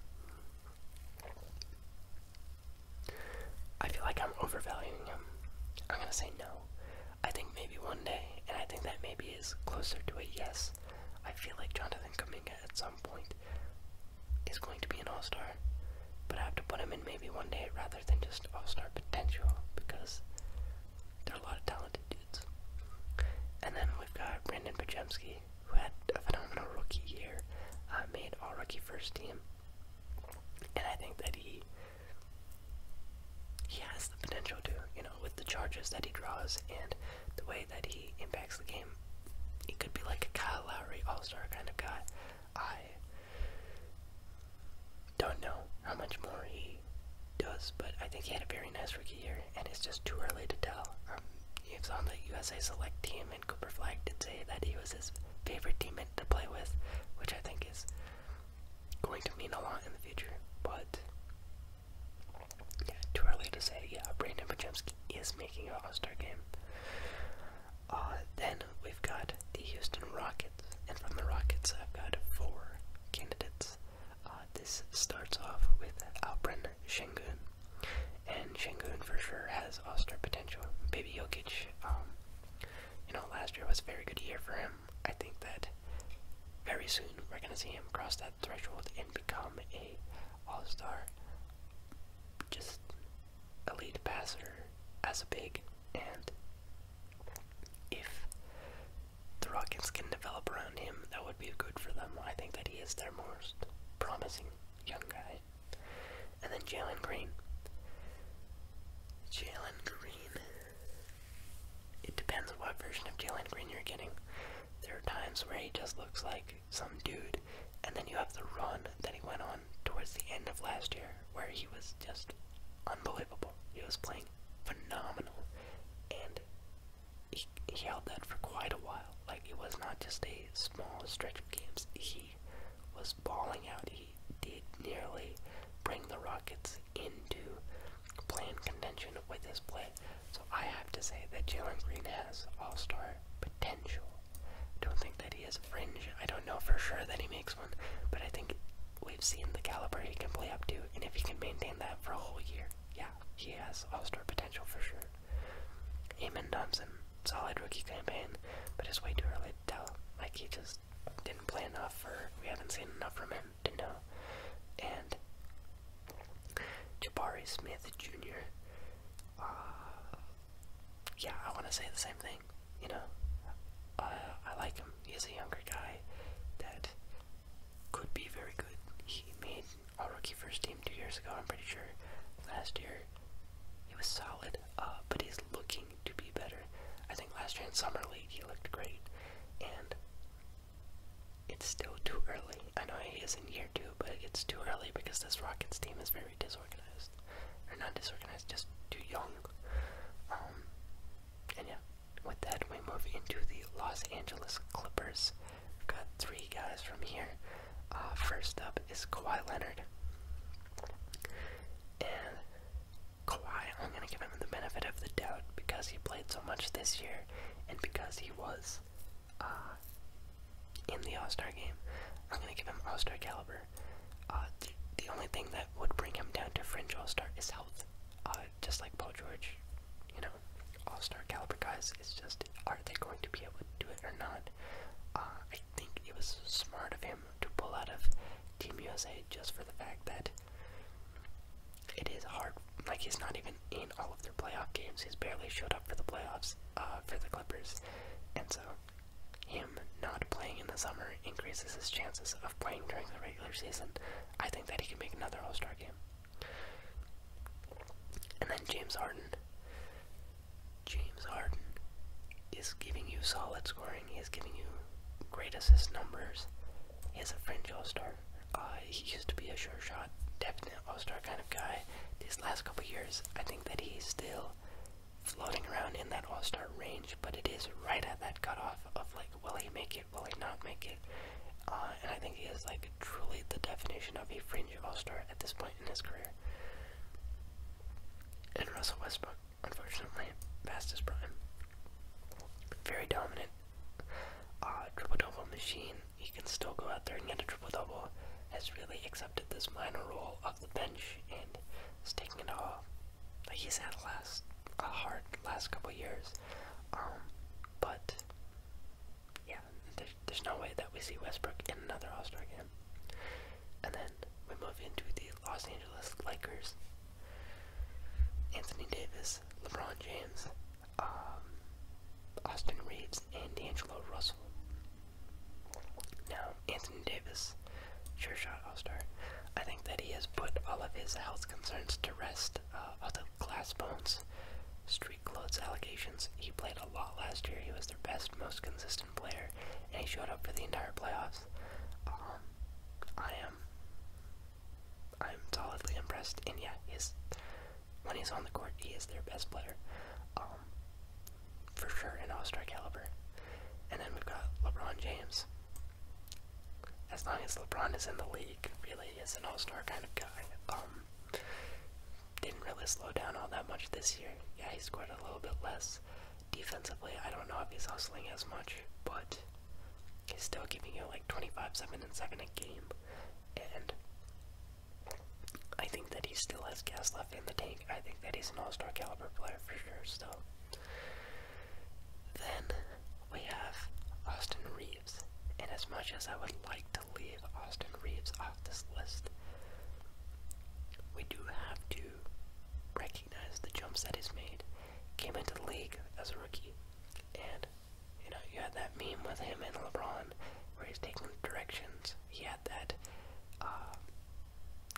I feel like I'm overvaluing him. I'm gonna say no. I think maybe one day, and I think that maybe is closer to a yes. I feel like Jonathan Kaminga at some point is going to be an all star, but I have to put him in maybe one day rather than just all star potential because there are a lot of talented dudes. And then we've got Brandon Pajemski, who had a phenomenal rookie year, uh, made all rookie first team. And I think that he he has the potential to, you know, with the charges that he draws and the way that he impacts the game, he could be like a Kyle Lowry all-star kind of guy. I don't know how much more he does, but I think he had a very nice rookie year, and it's just too early to tell. Um, he was on the USA Select team Cooper Flag did say that he was his favorite teammate to play with, which I think is going to mean a lot in the future. But yeah, too early to say. Yeah, Brandon Pajemski is making an All-Star game. Uh, then we've got the Houston Rockets, and from the Rockets, I've got four candidates. Uh, this starts off with Alperen Shengun and Shingun for sure has all-star potential. Baby Jokic, um, you know, last year was a very good year for him. I think that very soon we're gonna see him cross that threshold and become a all-star, just elite passer as a big. And if the Rockets can develop around him, that would be good for them. I think that he is their most promising young guy and then Jalen Green. Jalen Green. It depends on what version of Jalen Green you're getting. There are times where he just looks like some dude, and then you have the run that he went on towards the end of last year where he was just unbelievable. He was playing phenomenal, and he, held that for quite a while. Like, it was not just a small stretch of games, he was balling out. He did nearly bring the Rockets into playing contention with his play. So I have to say that Jalen Green has all star potential. don't think that he is fringe. I don't know for sure that he makes one, but I think we've seen the caliber he can play up to, and if he can maintain that for a whole year, yeah, he has all star potential for sure. Amon Thompson, solid rookie campaign, but it's way too early to tell. Like he just didn't play enough, or we haven't seen enough from him to know. And Jabari Smith Jr. Uh, yeah, I want to say the same thing. You know, uh, I like him. He's a younger guy that could be very good. He made all rookie first team two years ago. I'm pretty sure. Last year, he was solid. Uh, but he's looking to be better. I think last year in summer league he looked great, and it's still too early. I know he is in year two, but it's too early because this Rockets team is very disorganized, or not disorganized, just too young. Um, and yeah, with that we move into the Los Angeles Clippers. got three guys from here. Uh, first up is Kawhi Leonard. And Kawhi, I'm going to give him the benefit of the doubt because he played so much this year and because he was uh, in the All Star game. I'm going to give him All Star caliber. Uh, the only thing that would bring him down to fringe All Star is health. just like Paul George, you know, All Star caliber guys, is just are they going to be able to do it or not? think it was smart of him to pull out of Team USA just for the fact that it is hard. Like he's not even in all of their playoff games. He's barely showed up for the playoffs uh, for the Clippers, and so him not playing in the summer increases his chances of playing during the regular season. I think that he can make another All Star game. And then James Harden. James Harden is giving you solid scoring. He is giving you great assist numbers. He is a fringe All-Star. Uh, he used to be a sure shot, definite All-Star kind of guy. These last couple years, I think that he's still floating around in that All-Star range, but it is right at that cutoff of like, will he make it? Will he not make it? Uh, and I think he is like truly the definition of a fringe All-Star at this point in his career. And Russell Westbrook, unfortunately, fastest prime. Very dominant uh, triple double machine. He can still go out there and get a triple double. Has really accepted this minor role off the bench and is taking it all. he's had a last a hard last couple years. Um, but yeah, there's no way that we see Westbrook in another All Star game. And then we move into the Los Angeles Lakers. Anthony Davis, LeBron James, um, Austin Reeves, and Angelo Russell. Now, Anthony Davis, sure shot All Star. I think that he has put all of his health concerns to rest. Other uh, all glass bones, street clothes allegations. He played a lot last year. He was their best, most consistent player, and he showed up for the entire playoffs. Um, I am, I'm solidly impressed, and yeah, he's when he's on the court, he is their best player, um, for sure, an All-Star caliber. And then we've got LeBron James. As long as LeBron is in the league, really is an All-Star kind of guy. Um, didn't really slow down all that much this year. Yeah, he scored a little bit less. Defensively, I don't know if he's hustling as much, but he's still giving you like 25, 7, and 7 a game. And I think that he still has gas left in the tank. I think that he's an all star caliber player for sure, So Then we have Austin Reeves. And as much as I would like to leave Austin Reeves off this list, we do have to to recognize the jumps that he's made. Came into the league as a rookie, and you know you had that meme with him and LeBron where he's taking directions. He had that, uh,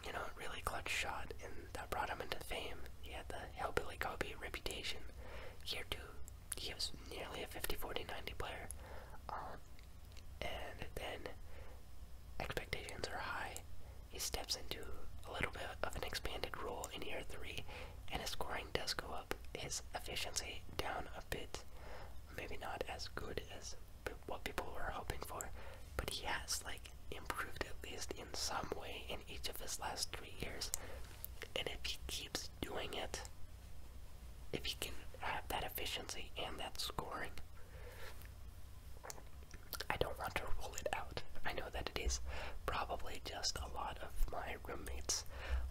you know, really clutch shot, and that brought him into fame. He had the hellbilly Kobe reputation. Here too, he was nearly a 50-40-90 player. Um, and then expectations are high. He steps into a little bit of an expanded role in year three, and his scoring does go up. His efficiency down a bit, maybe not as good as what people were hoping for, but he has like improved at least in some way in each of his last three years. And if he keeps doing it, if he can have that efficiency and that scoring, I don't want to rule it out. I know that it is probably just a lot of my roommates'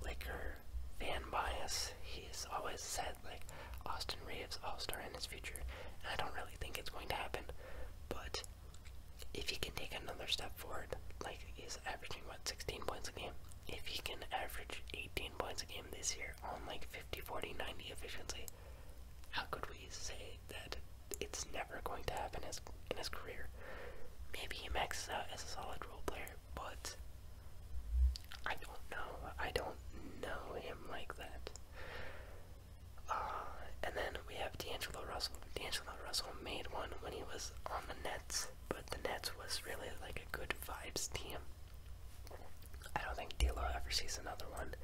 Laker fan bias. He's always said, like, Austin Reeves, All Star in his future, and I don't really think it's going to happen. But if he can take another step forward, like he's averaging, what, 16 points a game? If he can average 18 points a game this year on like 50, 40, 90 efficiency, how could we say that it's never going to happen in his, in his career? Maybe he maxes out as a solid role player, but I don't know. I don't know him like that. Uh, and then we have D'Angelo Russell. D'Angelo Russell made one when he was on the Nets, but the Nets was really like a good vibes team. I don't think D'Lo ever sees another one.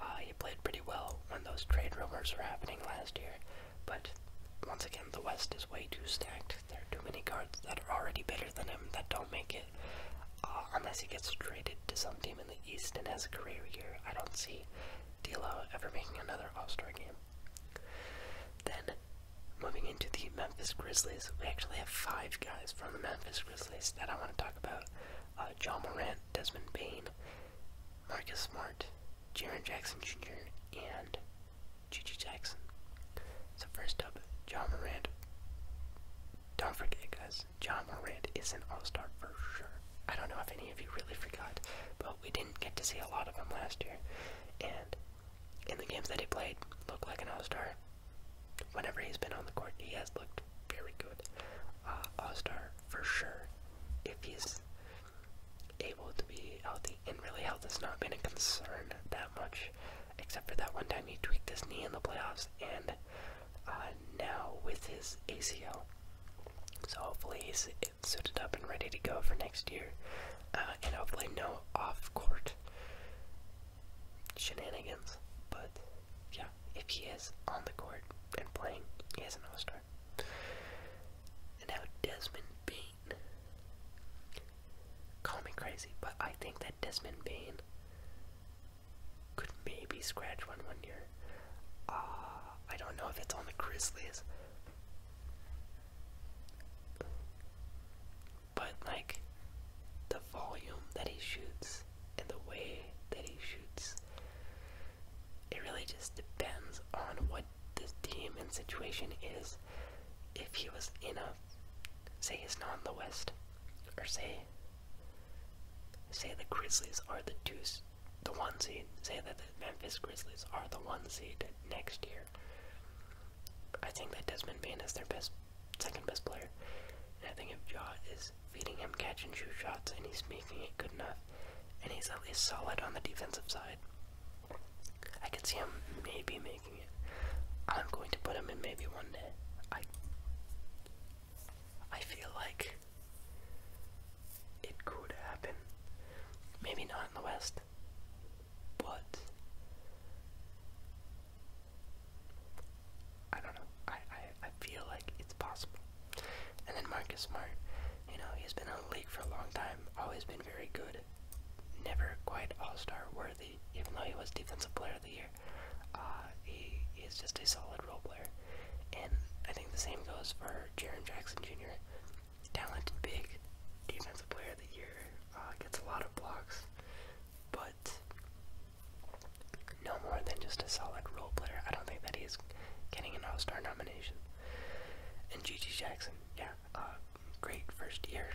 Uh, he played pretty well when those trade rumors were happening last year, but once again, the West is way too stacked. There are too many guards that are already better than him that don't make it. Uh, unless he gets traded to some team in the East and has a career year, I don't see D'Lo ever making another All-Star game. Then, moving into the Memphis Grizzlies, we actually have five guys from the Memphis Grizzlies that I want to talk about. Uh, John Moran Desmond Bain, Marcus Smart, Jaron Jackson Jr., and Gigi Jackson. So first up, John Morant. Don't forget guys, John Morant is an all-star for sure. I don't know if any of you really forgot, but we didn't get to see a lot of him last year. And in the games that he played, looked like an all-star. Whenever he's been on the court, he has looked very good. Uh, All Star for sure. If he's able to be healthy, and really health has not been a concern that much, except for that one time he tweaked his knee in the playoffs, and uh, now with his ACL. So hopefully he's suited up and ready to go for next year, uh, and hopefully no off-court shenanigans. But yeah, if he is on the court and playing, he is an all star. And now Desmond Bain. Call me crazy, but I think that Desmond Bain could maybe scratch one one year. Uh, I don't know if it's on the Grizzlies. But, like, the volume that he shoots and the way that he shoots. It really just depends on what the team and situation is. If he was in a, say he's not in the West, or say, say the Grizzlies are the deuce, the one seed. Say that the Memphis Grizzlies are the one seed next year. I think that Desmond Bain is their best, second best player, and I think if Jaw is feeding him catch and shoot shots, and he's making it good enough. And he's at least solid on the defensive side. I can see him maybe making it. I'm going to put him in maybe one day. I I feel like it could happen. Maybe not in the West, but I don't know. I, I, I feel like it's possible. And then Marcus Smart, you know, he's been on the league for a long time, always been very good, never quite all-star worthy, even though he was Defensive Player of the Year. Uh, he is just a solid role player. And I think the same goes for Jaron Jackson Jr. Talented big, Defensive Player of the Year, uh, gets a lot of blocks, but no more than just a solid role player. I don't think that he is getting an All Star nomination. And Gigi Jackson, yeah, uh, great first year.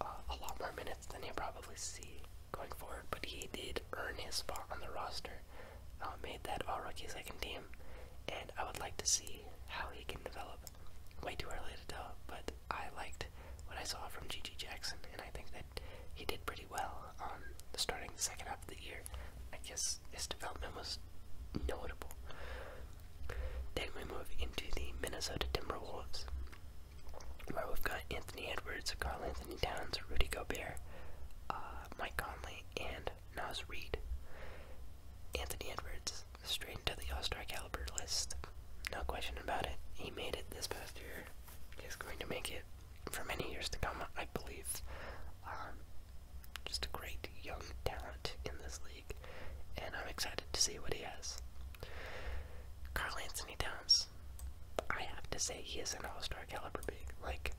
Uh, a lot more minutes than he'll probably see going forward, but he did earn his spot on the roster. Uh, made that all rookie second team, and I would like to see how he can develop. Way too early to tell, but I liked what I saw from Gigi Jackson, and I think that he did pretty pretty well um, starting the second half of the year. I guess his development was notable. Then we move into the Minnesota Timberwolves, where we've got Anthony Edwards, Carl Anthony Towns, Rudy Gobert, uh, Mike Conley, and Nas Reed. Anthony Edwards straight into the All-Star caliber list. No question about it. He made it this past year. He's going to make it for many years to come, I believe. Um, just a great young talent in this league, and I'm excited to see what he has. Carl Anthony Towns, I have to say he is an all-star caliber big, like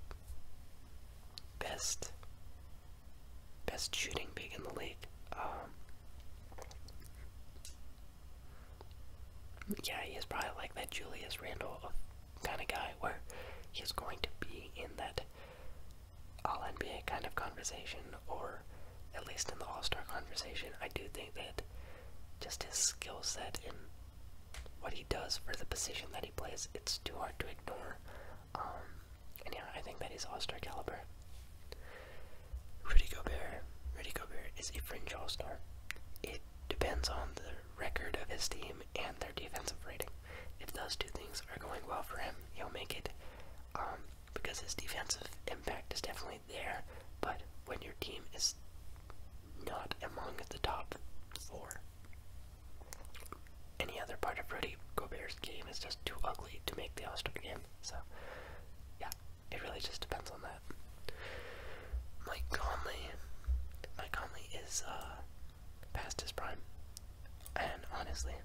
best best shooting big in the league. Um, yeah, he is probably like that Julius Randall kind of guy where he's going to be in that all NBA kind of conversation, or at least in the All Star conversation. I do think that just his skill set and what he does for the position that he plays, it's too hard to ignore. Um, I think that he's All Star caliber. Rudy Gobert, Rudy Gobert is a fringe All Star. It depends on the record of his team and their defensive rating. If those two things are going well for him, he'll make it. Um, because his defensive impact is definitely there, but when your team is not among the top four, any other part of Rudy Gobert's game is just too ugly to make the All Star game. So, yeah, it really just depends on that. Mike Conley. Mike Conley is uh, past his prime. And honestly,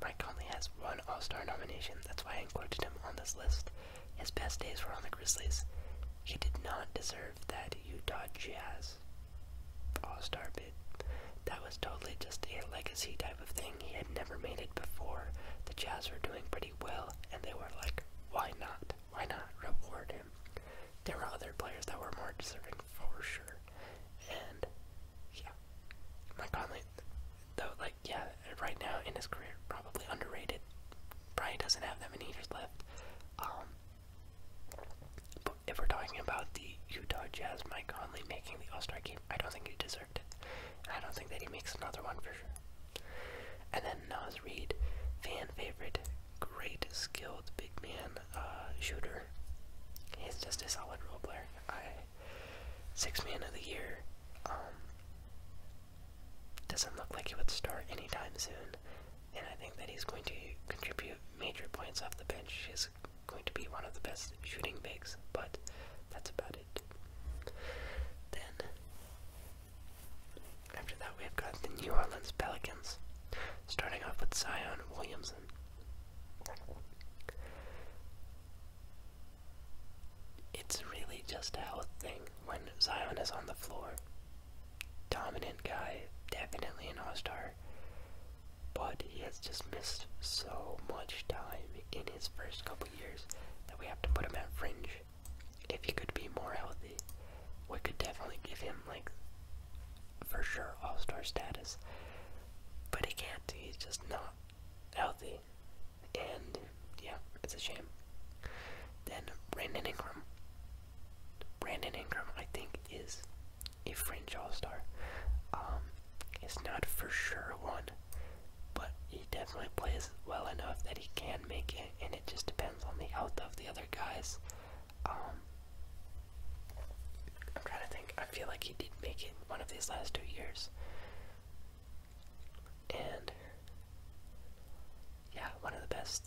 Mike Conley has one All Star nomination. That's why I included him on this list. His best days were on the Grizzlies. He did not deserve that Utah Jazz All Star bid. That was totally just a legacy type of thing. He had never made it before. The Jazz were doing pretty well, and they were like, why not? why not reward him? There were other players that were more deserving for sure, and yeah, Mike Conley, though, like yeah, right now in his career probably underrated. Probably doesn't have that many years left. Um, but if we're talking about the Utah Jazz, Mike Conley making the All Star game, I don't think he deserved it. I don't think that he makes another one for sure. And then Nas Reid, fan favorite, great skilled big man uh, shooter. He's just a solid role player. six man of the year. Um, doesn't look like he would start anytime soon, and I think that he's going to contribute major points off the bench. He's going to be one of the best shooting bigs, but that's about it. Then after that, we have got the New Orleans Pelicans, starting off with Zion Williamson. It's really just a health thing when Zion is on the floor. Dominant guy, definitely an all star, but he has just missed so much time in his first couple years that we have to put him at fringe. If he could be more healthy, we could definitely give him like for sure all-star status. But he can't. He's just not healthy. And yeah, it's a shame. Then Brandon Ingram. Brandon Ingram, I think, is a fringe all-star. Um, it's not for sure one, but he definitely plays well enough that he can make it, and it just depends on the health of the other guys. Um, I'm trying to think. I feel like he did make it one of these last two years. And yeah, one of the best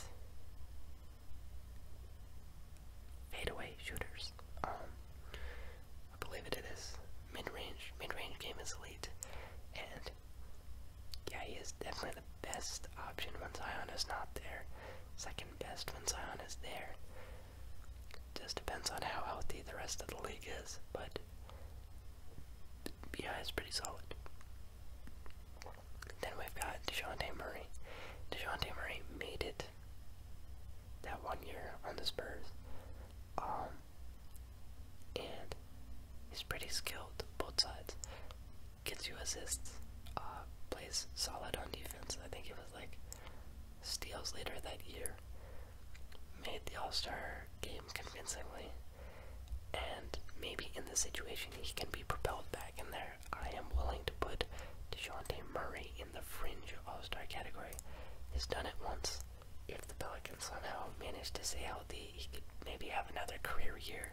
fadeaway shooters. Um, I believe it is mid-range. Mid-range game is elite, and yeah, he is definitely the best option once Ion is not there second best when Zion is there. Just depends on how healthy the rest of the league is, but BI is pretty solid. Then we've got DeJounte Murray. DeJounte Murray made it that one year on the Spurs. Um, and he's pretty skilled, both sides gets you assists, uh, plays solid on defense. I think it was like steals later that year. Made the All Star game convincingly, and maybe in the situation he can be propelled back in there. I am willing to put DeJounte Murray in the fringe All Star category. He's done it once. If the Pelicans somehow manage to stay healthy, he could maybe have another career year.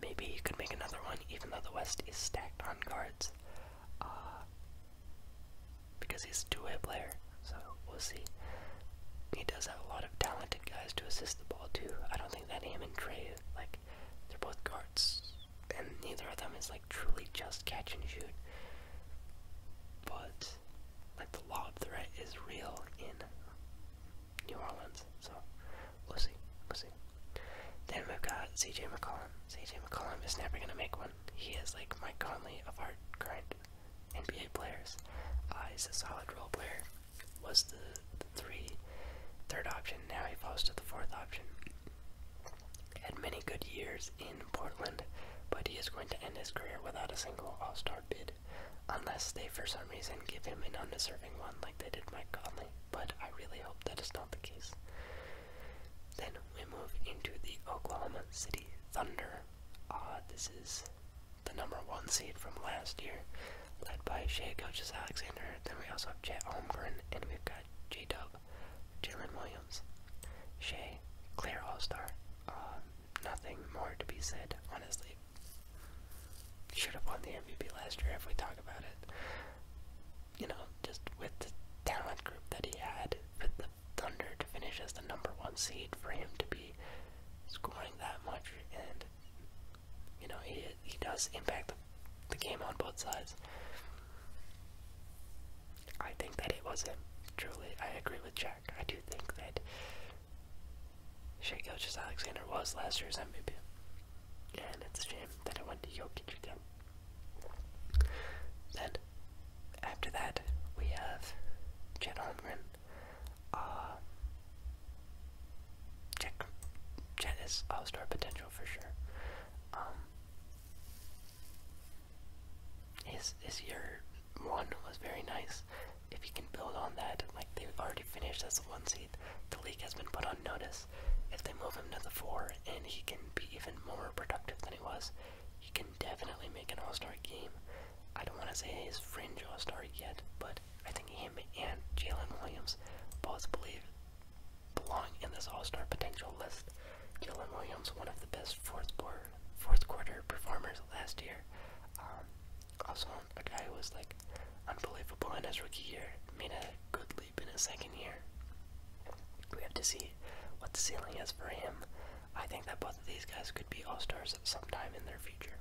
Maybe he could make another one, even though the West is stacked on guards. Uh, because he's a two-way player, so we'll see. He does have a lot of talented guys to assist the ball too. I don't think that him and Trey, like, they're both guards, and neither of them is like truly just catch and shoot. But like the lob threat is real in New Orleans. So we'll see. We'll see. Then we've got CJ McCollum. CJ McCollum is never gonna make one. He is like Mike Conley of our current NBA players. Uh, he's a solid role player. Was the, the three third option. Now he falls to the fourth option. Had many good years in Portland, but he is going to end his career without a single All Star bid unless they for some reason give him an undeserving one like they did Mike Conley, but I really hope that is not the case. Then we move into the Oklahoma City Thunder. Uh, this is the number one seed from last year, led by Shea Coaches Alexander. Then we also have Chet Holmgren, and we've got J Dub, Jalen Williams, Shea, Claire Allstar. Star. Ah, nothing more to be said, honestly should have won the MVP last year if we talk about it. You know, just with the talent group that he had, with the Thunder to finish as the number one seed, for him to be scoring that much, and you know, he he does impact the, the game on both sides. I think that it was him. Truly, I agree with Jack. I do think that Shea Gilgis Alexander was last year's MVP. And it's a shame that it went to Jokic again. Then, after that, we have Chet Holmgren. Uh, Chet, Chet is all star potential for sure. Um, his, his year one was very nice. If you can build on that, like they've already finished as a one the leak has been put on notice. If they move him to the four and he can be even more productive than he was, he can definitely make an all-star game. I don't want to say he's fringe all-star yet, but I think him and Jalen Williams both believe belong in this all-star potential list. Jalen Williams, one of the best fourth quarter, performers last year. Um, also, a guy who was like unbelievable in his rookie year made a good leap in his second year. We have to see what the ceiling is for him. I think that both of these guys could be all stars sometime in their future.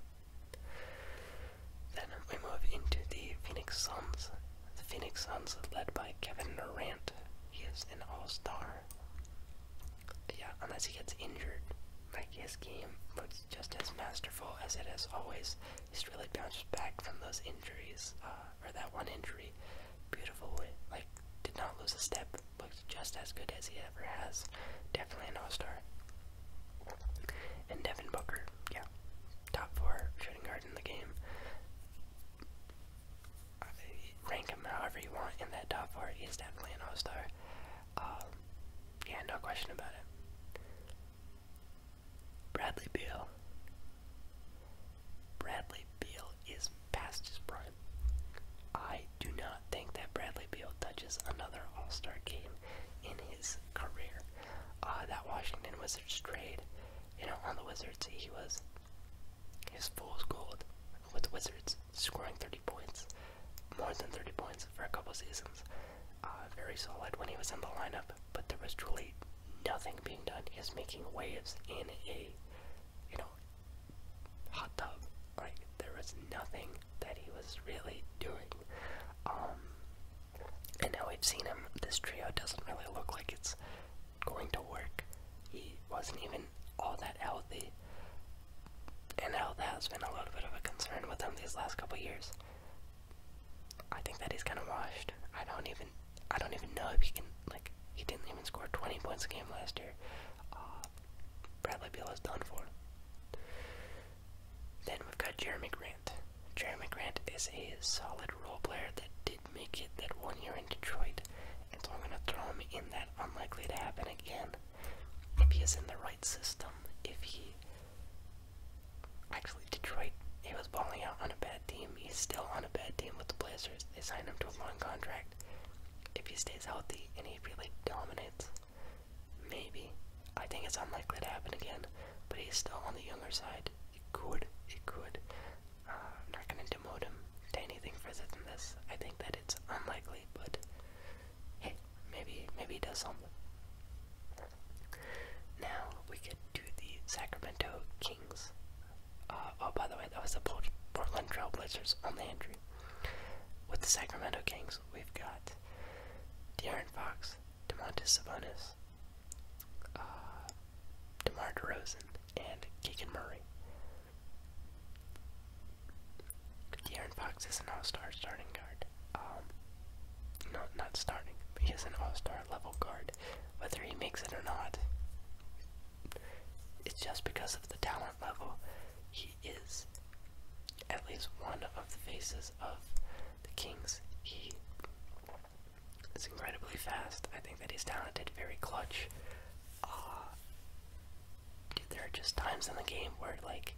Then we move into the Phoenix Suns. The Phoenix Suns, led by Kevin Durant, he is an all star. Yeah, unless he gets injured. Like his game looks just as masterful as it has always he's really bounced back from those injuries, uh, or that one injury, beautiful Like, did not lose a step, Looks just as good as he ever has. Definitely an all star. And Devin Booker, yeah, top four shooting guard in the game. rank him however you want in that top four. He's definitely an all star. Um, yeah, no question about it. Bradley Beal. Bradley Beal is past his prime. I do not think that Bradley Beal touches another All Star game in his career. Uh, that Washington Wizards trade, you know, on the Wizards, he was his full gold with Wizards, scoring 30 points, more than 30 points for a couple seasons. Uh, very solid when he was in the lineup, but there was truly nothing being done. He's making waves in a, you know, hot tub. Like there was nothing that he was really doing. Um, and now we've seen him. This trio doesn't really look like it's going to work. He wasn't even all that healthy. And health has been a little bit of a concern with him these last couple years. I think that he's kind of rushed. I don't even I don't even know if he can like he didn't even score 20 points a game last year. Uh, Bradley Beal is done for. Then we've got Jeremy Grant. Jeremy Grant is a solid role player that did make it that one year in Detroit, and so I'm gonna throw him in that unlikely to happen again. If he is in the right system, if he Actually, Detroit, he was balling out on a bad team. He's still on a bad team with the Blazers. They signed him to a long contract. If he stays healthy and he really dominates, maybe. I think it's unlikely to happen again, but he's still on the younger side. He could, He could. I'm uh, not going to demote him to anything further than this. I think that it's unlikely, but hey, maybe, maybe he does something. Now we get to the Sacramento Kings. Uh, oh, by the way, that was the Portland Trail Blazers on the entry. With the Sacramento Kings, we've got De'Aaron Fox, DeMontis Sabonis, uh, DeMar DeRozan, and Keegan Murray. De'Aaron Fox is an all-star starting guard um, not starting, but he is an all-star level guard. Whether he makes it or not, it's just because of the talent level. He is at least one of the faces of the Kings. He is incredibly fast. I think that he's talented, very clutch. Uh, there are just times in the game where, like,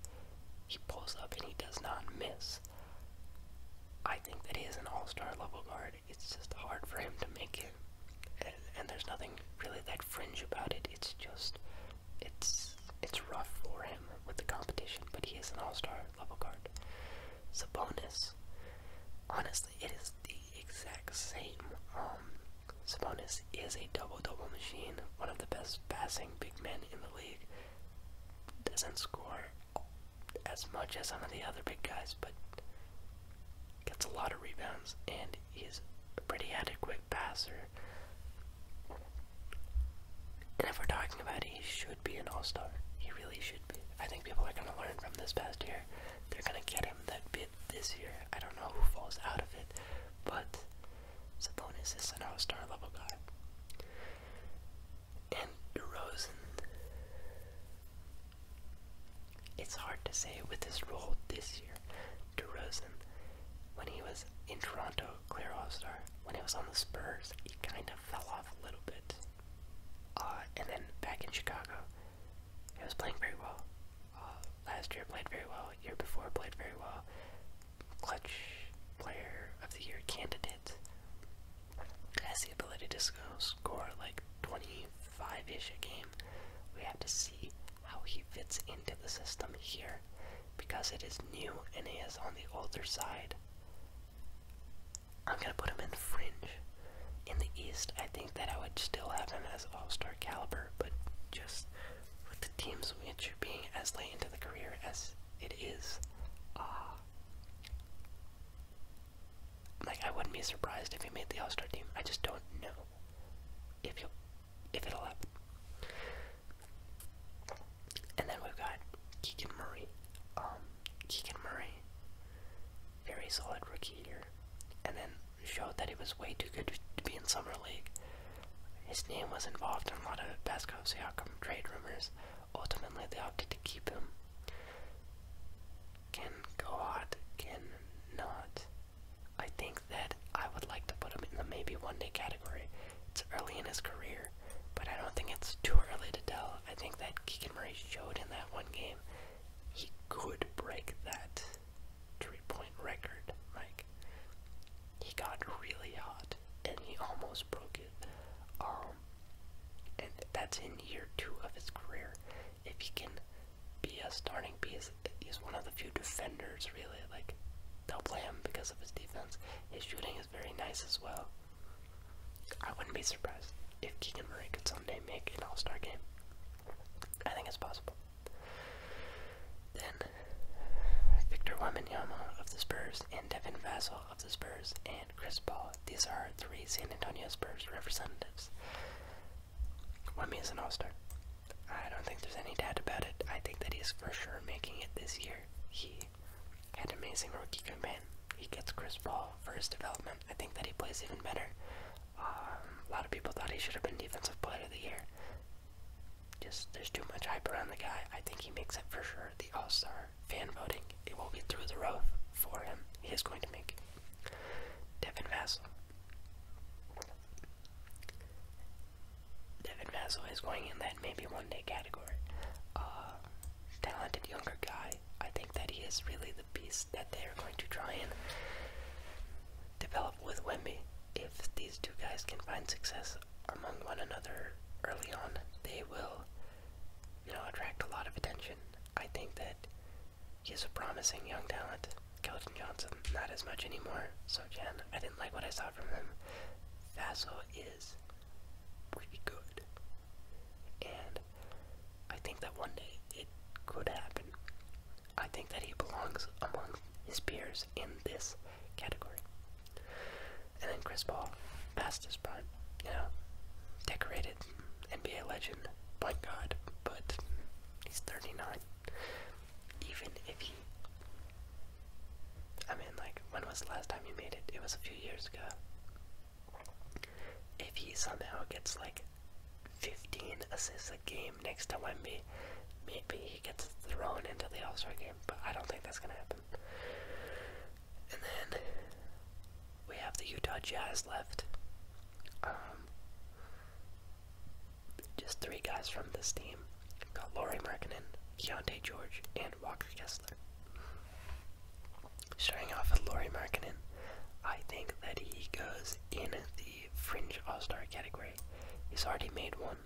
he pulls up and he does not miss. I think that he is an all-star level guard. It's just hard for him to make it, and, there's nothing really that fringe about it. It's just, it's it's rough for him with the competition. But he is an all-star level guard. Sabonis, honestly, it is the exact same. Um, Sabonis is a double-double machine, one of the best passing big men in the league. Doesn't score as much as some of the other big guys, but gets a lot of rebounds and he's a pretty adequate passer. And if we're talking about it, he should be an all star. He really should be. I think people are going to learn from this past year. They're going to get him that bit this year. I don't know who falls out of it, but Sabonis is an all star level guy and DeRozan. It's hard to say with his role this year. DeRozan, when he was in Toronto, clear All Star. When he was on the Spurs, he kind of fell off a little bit. Uh, and then back in Chicago, he was playing very well. Uh, last year played very well. Year before played very well. Clutch player of the year candidate has the ability to score like 25-ish a game. We have to see how he fits into the system here because it is new and he is on the older side. I'm going to put him in fringe. In the East, I think that I would still have him as all-star caliber, but just with the teams which being as late into the career as it is. Uh, like I wouldn't be surprised if he made the All Star team. I just don't know if you if it'll happen. And then we've got Keegan Murray. Um, Keegan Murray, very solid rookie here, and then showed that he was way too good to be in summer league. His name was involved in a lot of Pascal Siakam trade rumors. Ultimately, they opted keep him. Can go hot, can not. I think that I would like to put him in the maybe one day category. It's early in his career, but I don't think it's too early to tell. I think that Keegan Murray showed in that one game he could break that three point record, Mike. He got really hot and he almost broke it. Um, and that's in year two of his career. If he can be a starting piece, he's one of the few defenders really. Like they'll play him because of his defense. His shooting is very nice as well. I wouldn't be surprised if Keegan Murray could someday make an All Star game. I think it's possible. Then Victor Wembanyama of the Spurs and Devin Vassell of the Spurs and Chris Paul. These are three San Antonio Spurs representatives. Wemby is an all star. I don't think there's any doubt about it. I think that he's for sure making it this year. He had an amazing rookie campaign. He gets Chris Paul for his development. I think that he plays even better. Um, a lot of people thought he should have been Defensive Player of the Year. Just there's too much hype around the guy. I think he makes it for sure. The All Star fan voting, it will be through the roof for him. He is going to make Devin Vassell. Devin Vassell is going in that maybe one day category. Uh, talented younger guy. I think that he is really the piece that they are going to try and develop with Wemby. If these two guys can find success among one another early on, they will you know, attract a lot of attention. I think that he is a promising young talent. Kelton Johnson, not as much anymore. So Jan, I didn't like what I saw from him. Vaso is pretty good. And I think that one day it could happen. I think that he belongs among his peers in this category. And then Chris Paul, past his prime, you know, decorated NBA legend, point God. but he's 39. Even if he, I mean, like, when was the last time you made it? It was a few years ago. If he somehow gets like 15 assists a game next to Wemby, maybe he gets thrown into the All Star game, but I don't think that's gonna happen. And then we have the Utah Jazz left. Um, just three guys from this team. Got Laurie Markkinen, Keontae George, and Walker Kessler. Starting off with Laurie Markkinen, I think that he goes in the fringe all-star category. He's already made one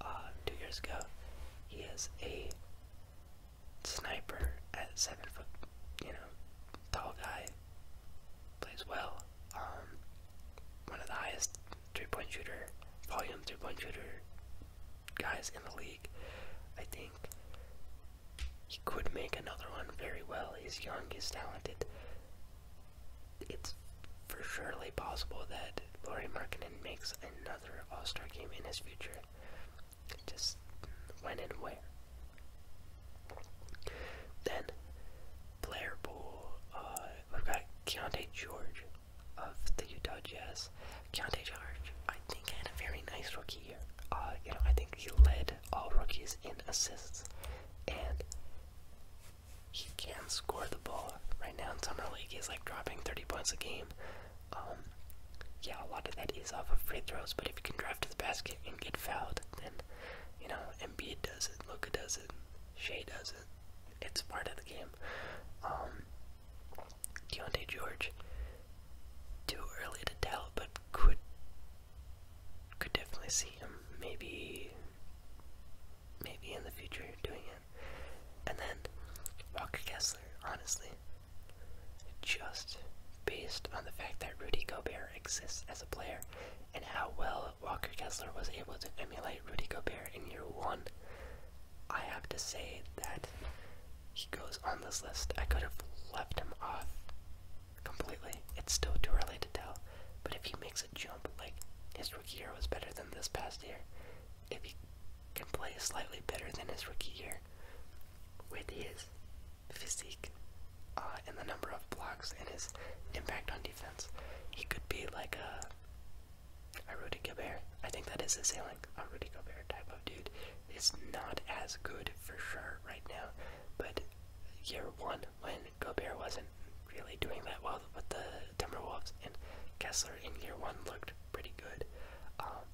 uh, two years ago. He is a sniper at seven foot, you know, tall guy. Plays well. Um, one of the highest three-point shooter, volume three-point shooter guys in the league. I think he could make another one very well. He's young. He's talented. It's for surely possible that Laurie Markkinen makes another All-Star game in his future. Just when and where. Then, player pool, we've uh, got Keontae George of the Utah Jazz. Keontae George, I think, had a very nice rookie year. Uh, you know, I think he led all rookies in assists, and he can score the ball right now in summer league. He's like dropping 30 points a game. Um, yeah, a lot of that is off of free throws, but if you can drive to the basket and get fouled, then, you know, Embiid does it, Luka does it, Shea does it. It's part of the game. Um, Deontay George, too early to tell, but could could definitely see him maybe maybe in the future doing it. And then Walker Kessler, honestly, just based on the fact that Rudy Gobert exists as a player and how well Walker Kessler was able to emulate Rudy Gobert in year one. I have to say that he goes on this list. I could have left him off completely. It's still too early to tell. But if he makes a jump, like his rookie year was better than this past year, if he can play slightly better than his rookie year, with his physique uh, and the number of blocks and his impact on defense, he could be like a a Rudy Gobert. I think that is his ceiling. A Rudy Gobert type of dude is not as good for sure right now, but year one when Gobert wasn't really doing that well with the Timberwolves and Kessler in year one looked pretty good. Um,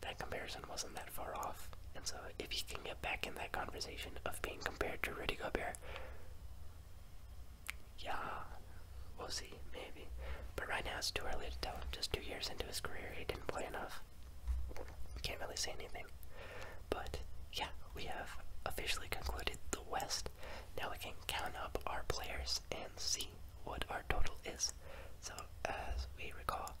that comparison wasn't that far off. And so, if he can get back in that conversation of being compared to Rudy Gobert, yeah, we'll see, maybe. But right now, it's too early to tell. Just two years into his career, he didn't play enough. Can't really say anything. But yeah, we have officially concluded the West. Now we can count up our players and see what our total is. So, as we recall,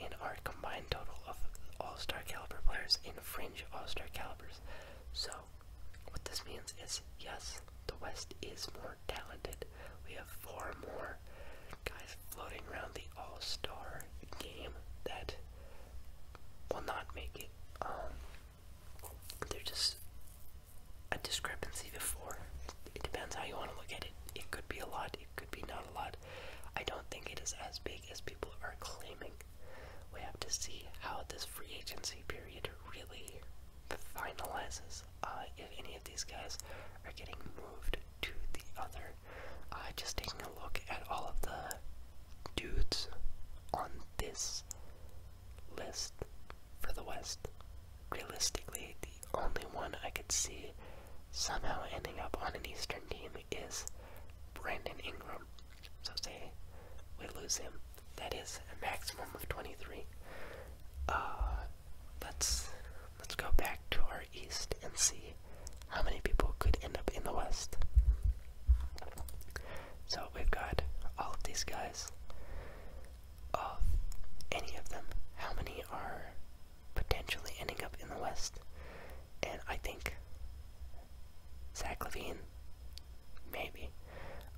in our combined total of all-star caliber players and fringe all-star calibers. So what this means is yes, the West is more talented. We have four more guys floating around the all-star game that will not make it. Um they're just a discrepancy before. It depends how you want to look at it. It could be a lot, it could be not a lot, I don't think it is as big as people are claiming. We have to see how this free agency period really finalizes. Uh, if any of these guys are getting moved to the other, uh, just taking a look at all of the dudes on this list for the West. Realistically, the only one I could see somehow ending up on an Eastern team is Brandon Ingram. So say we lose him. That is a maximum of 23. Uh, let's let's go back to our East and see how many people could end up in the West. So we've got all of these guys. Of any of them, how many are potentially ending up in the West. And I think Zach Levine, maybe.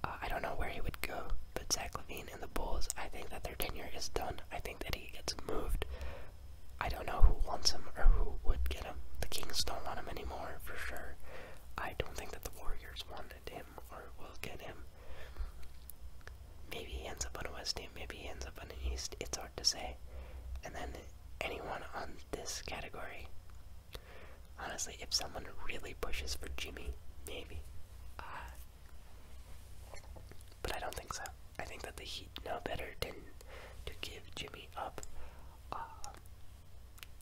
Uh, I don't know where he would go, but Zach Levine and the Bulls, I think that their tenure is done. I think that he gets moved. I don't know who wants him or who would get him. The Kings don't want him anymore, for sure. I don't think that the Warriors wanted him or will get him. Maybe he ends up on a West Ham, maybe he ends up on an East. It's hard to say. And then anyone on this category. Honestly, if someone really pushes for Jimmy, maybe. Uh, but I don't think so. I think that the Heat know better than to give Jimmy up. Uh,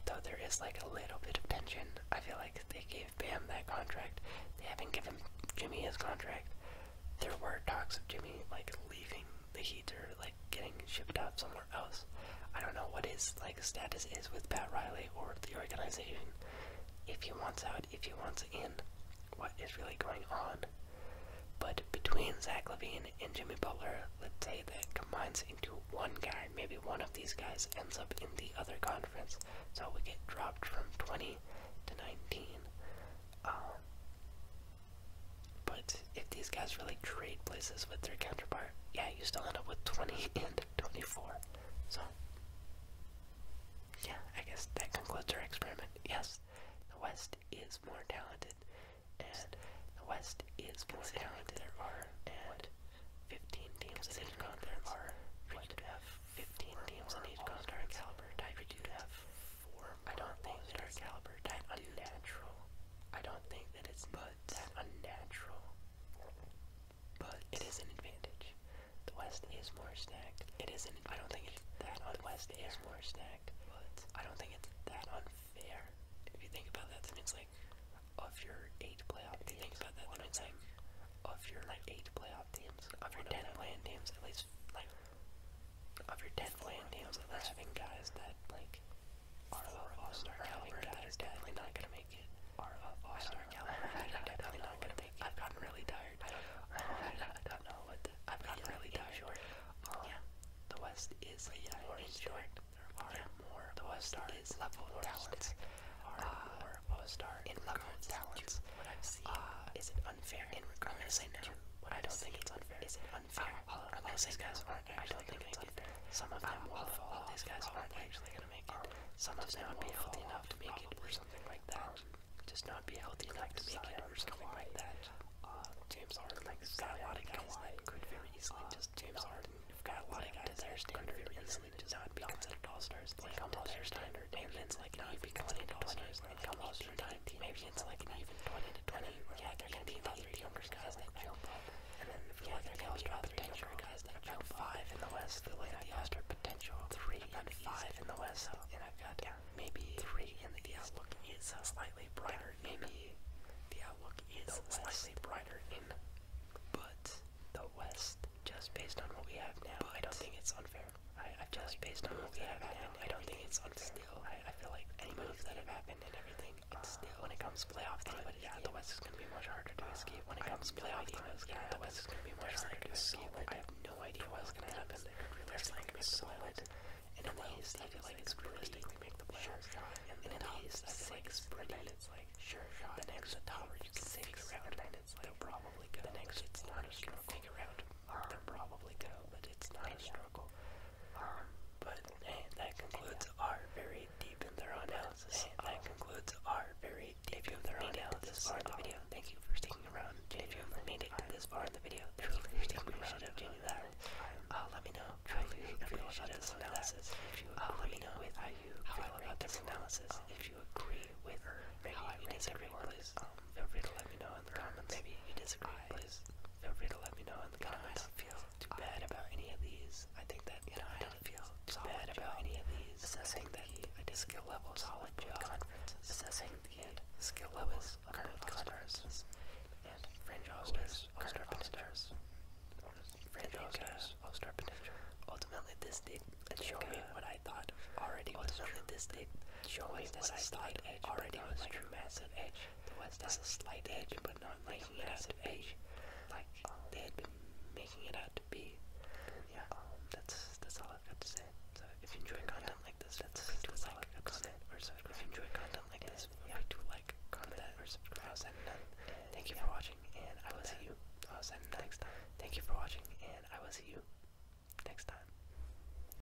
though there is like a little bit of tension. I feel like they gave Bam that contract. They haven't given Jimmy his contract there were talks of Jimmy like leaving the Heat or like getting shipped out somewhere else. I don't know what his like status is with Pat Riley or the organization. If he wants out, if he wants in, what is really going on? But between Zach Levine and Jimmy Butler, let's say that combines into one guy. Maybe one of these guys ends up in the other conference, so we get dropped from 20 to 19. Um, but if these guys really trade places with their counterpart, yeah, you still end up with 20 [LAUGHS] and 24. So, yeah, I guess that concludes our experiment. Yes, the West is more talented, and the West is more talented. There are and 15 teams in each conference. There are. We could have 15 teams in each conference. Caliber type. We could have four. I don't think that our caliber that unnatural. I don't think that it's but that unnatural. But it is an advantage. The West is more stacked. It isn't. I don't think it's that on West is more stacked. But I don't think it's that unfair. If you think about that, that means like of your eight playoff teams. If you think about that, that means like of your like eight playoff teams, of your ten playing teams, at least like of your dead landings. That's having guys that like are of all-star caliber that are definitely not gonna make it. Are of all-star caliber [LAUGHS] definitely not gonna make it. I've gotten really tired. I don't know. [LAUGHS] I don't know what. [LAUGHS] I've gotten really tired. Um, yeah. The West is more short. There are more the West is level talents. Are uh, more all-star in talents. What I've seen uh, is it unfair in regards to but I don't think it's unfair. Is it unfair? All of these guys aren't actually going to make it. Some of them will fall off. These guys aren't actually going to make it. Some of them will be healthy enough to make it, or something like that. Just not be healthy enough to make it, or something like that. Uh, James Harden, like you've uh, got a lot of guys that could very easily just James Harden. You've got a lot of guys that could very easily just not be considered all stars. Like on their standard, and it's like not be considered all stars when it comes to time, maybe it's like an even 20 to 20. Yeah, they're going to be about three younger guys that jump up. And then if you yeah, they're going to be about three younger guys that jump five in the West. The late I've got potential three and five in the West. And I've got maybe three in the outlook is slightly brighter. Maybe the outlook is slightly brighter in, but the West, just based on what we have now, I don't think it's unfair. I, I just based on what we have happened, I don't think it's on steel. I feel like any moves that have happened and everything, it's uh, still. When it comes to playoff time, but yeah, the West is going to be much harder to escape. When it comes to playoff time, yeah, the West is going to be much harder to uh, escape. I have no idea what's going to happen. There's like so much. And in the East, I feel like it's realistic to make the playoffs. And in the East, I feel like it's like sure shot. The next tower you can figure out, and then it's like probably good. The next it's not a struggle. Figure out. They'll probably go, but it's not a struggle. But eh, that concludes our very deep and thorough analysis. that concludes our very deep and thorough analysis part the video. Thank you for sticking around. If you've made it this far in the video, truly sticking around doing that. Uh, let me know how you feel about this analysis. Uh, let me know how you feel about this analysis. Um, if you agree with how everyone, please um, feel free to let me know. Maybe you disagree. I, please feel free to let me know in the comments. I don't feel too bad about any of these. I think that you know I don't feel too bad about any of these. Assessing the skill levels all at both conferences. Assessing the skill levels of both conferences. And fringe hosters, all-star Fringe hosters, Ultimately, this did show me what I thought already. was this did Surely has a slight edge already was like true massive edge. The was this a slight edge, but not like it out to be like um, they had making it out to be. Yeah, um, that's that's all I've got to say. So if you enjoy content like this, that's that's all I've got to say. or subscribe. If you enjoy content like this, feel free to like, comment, or subscribe. Thank you for watching, and I will see you. i next time. Thank you for watching, and I will see you next time.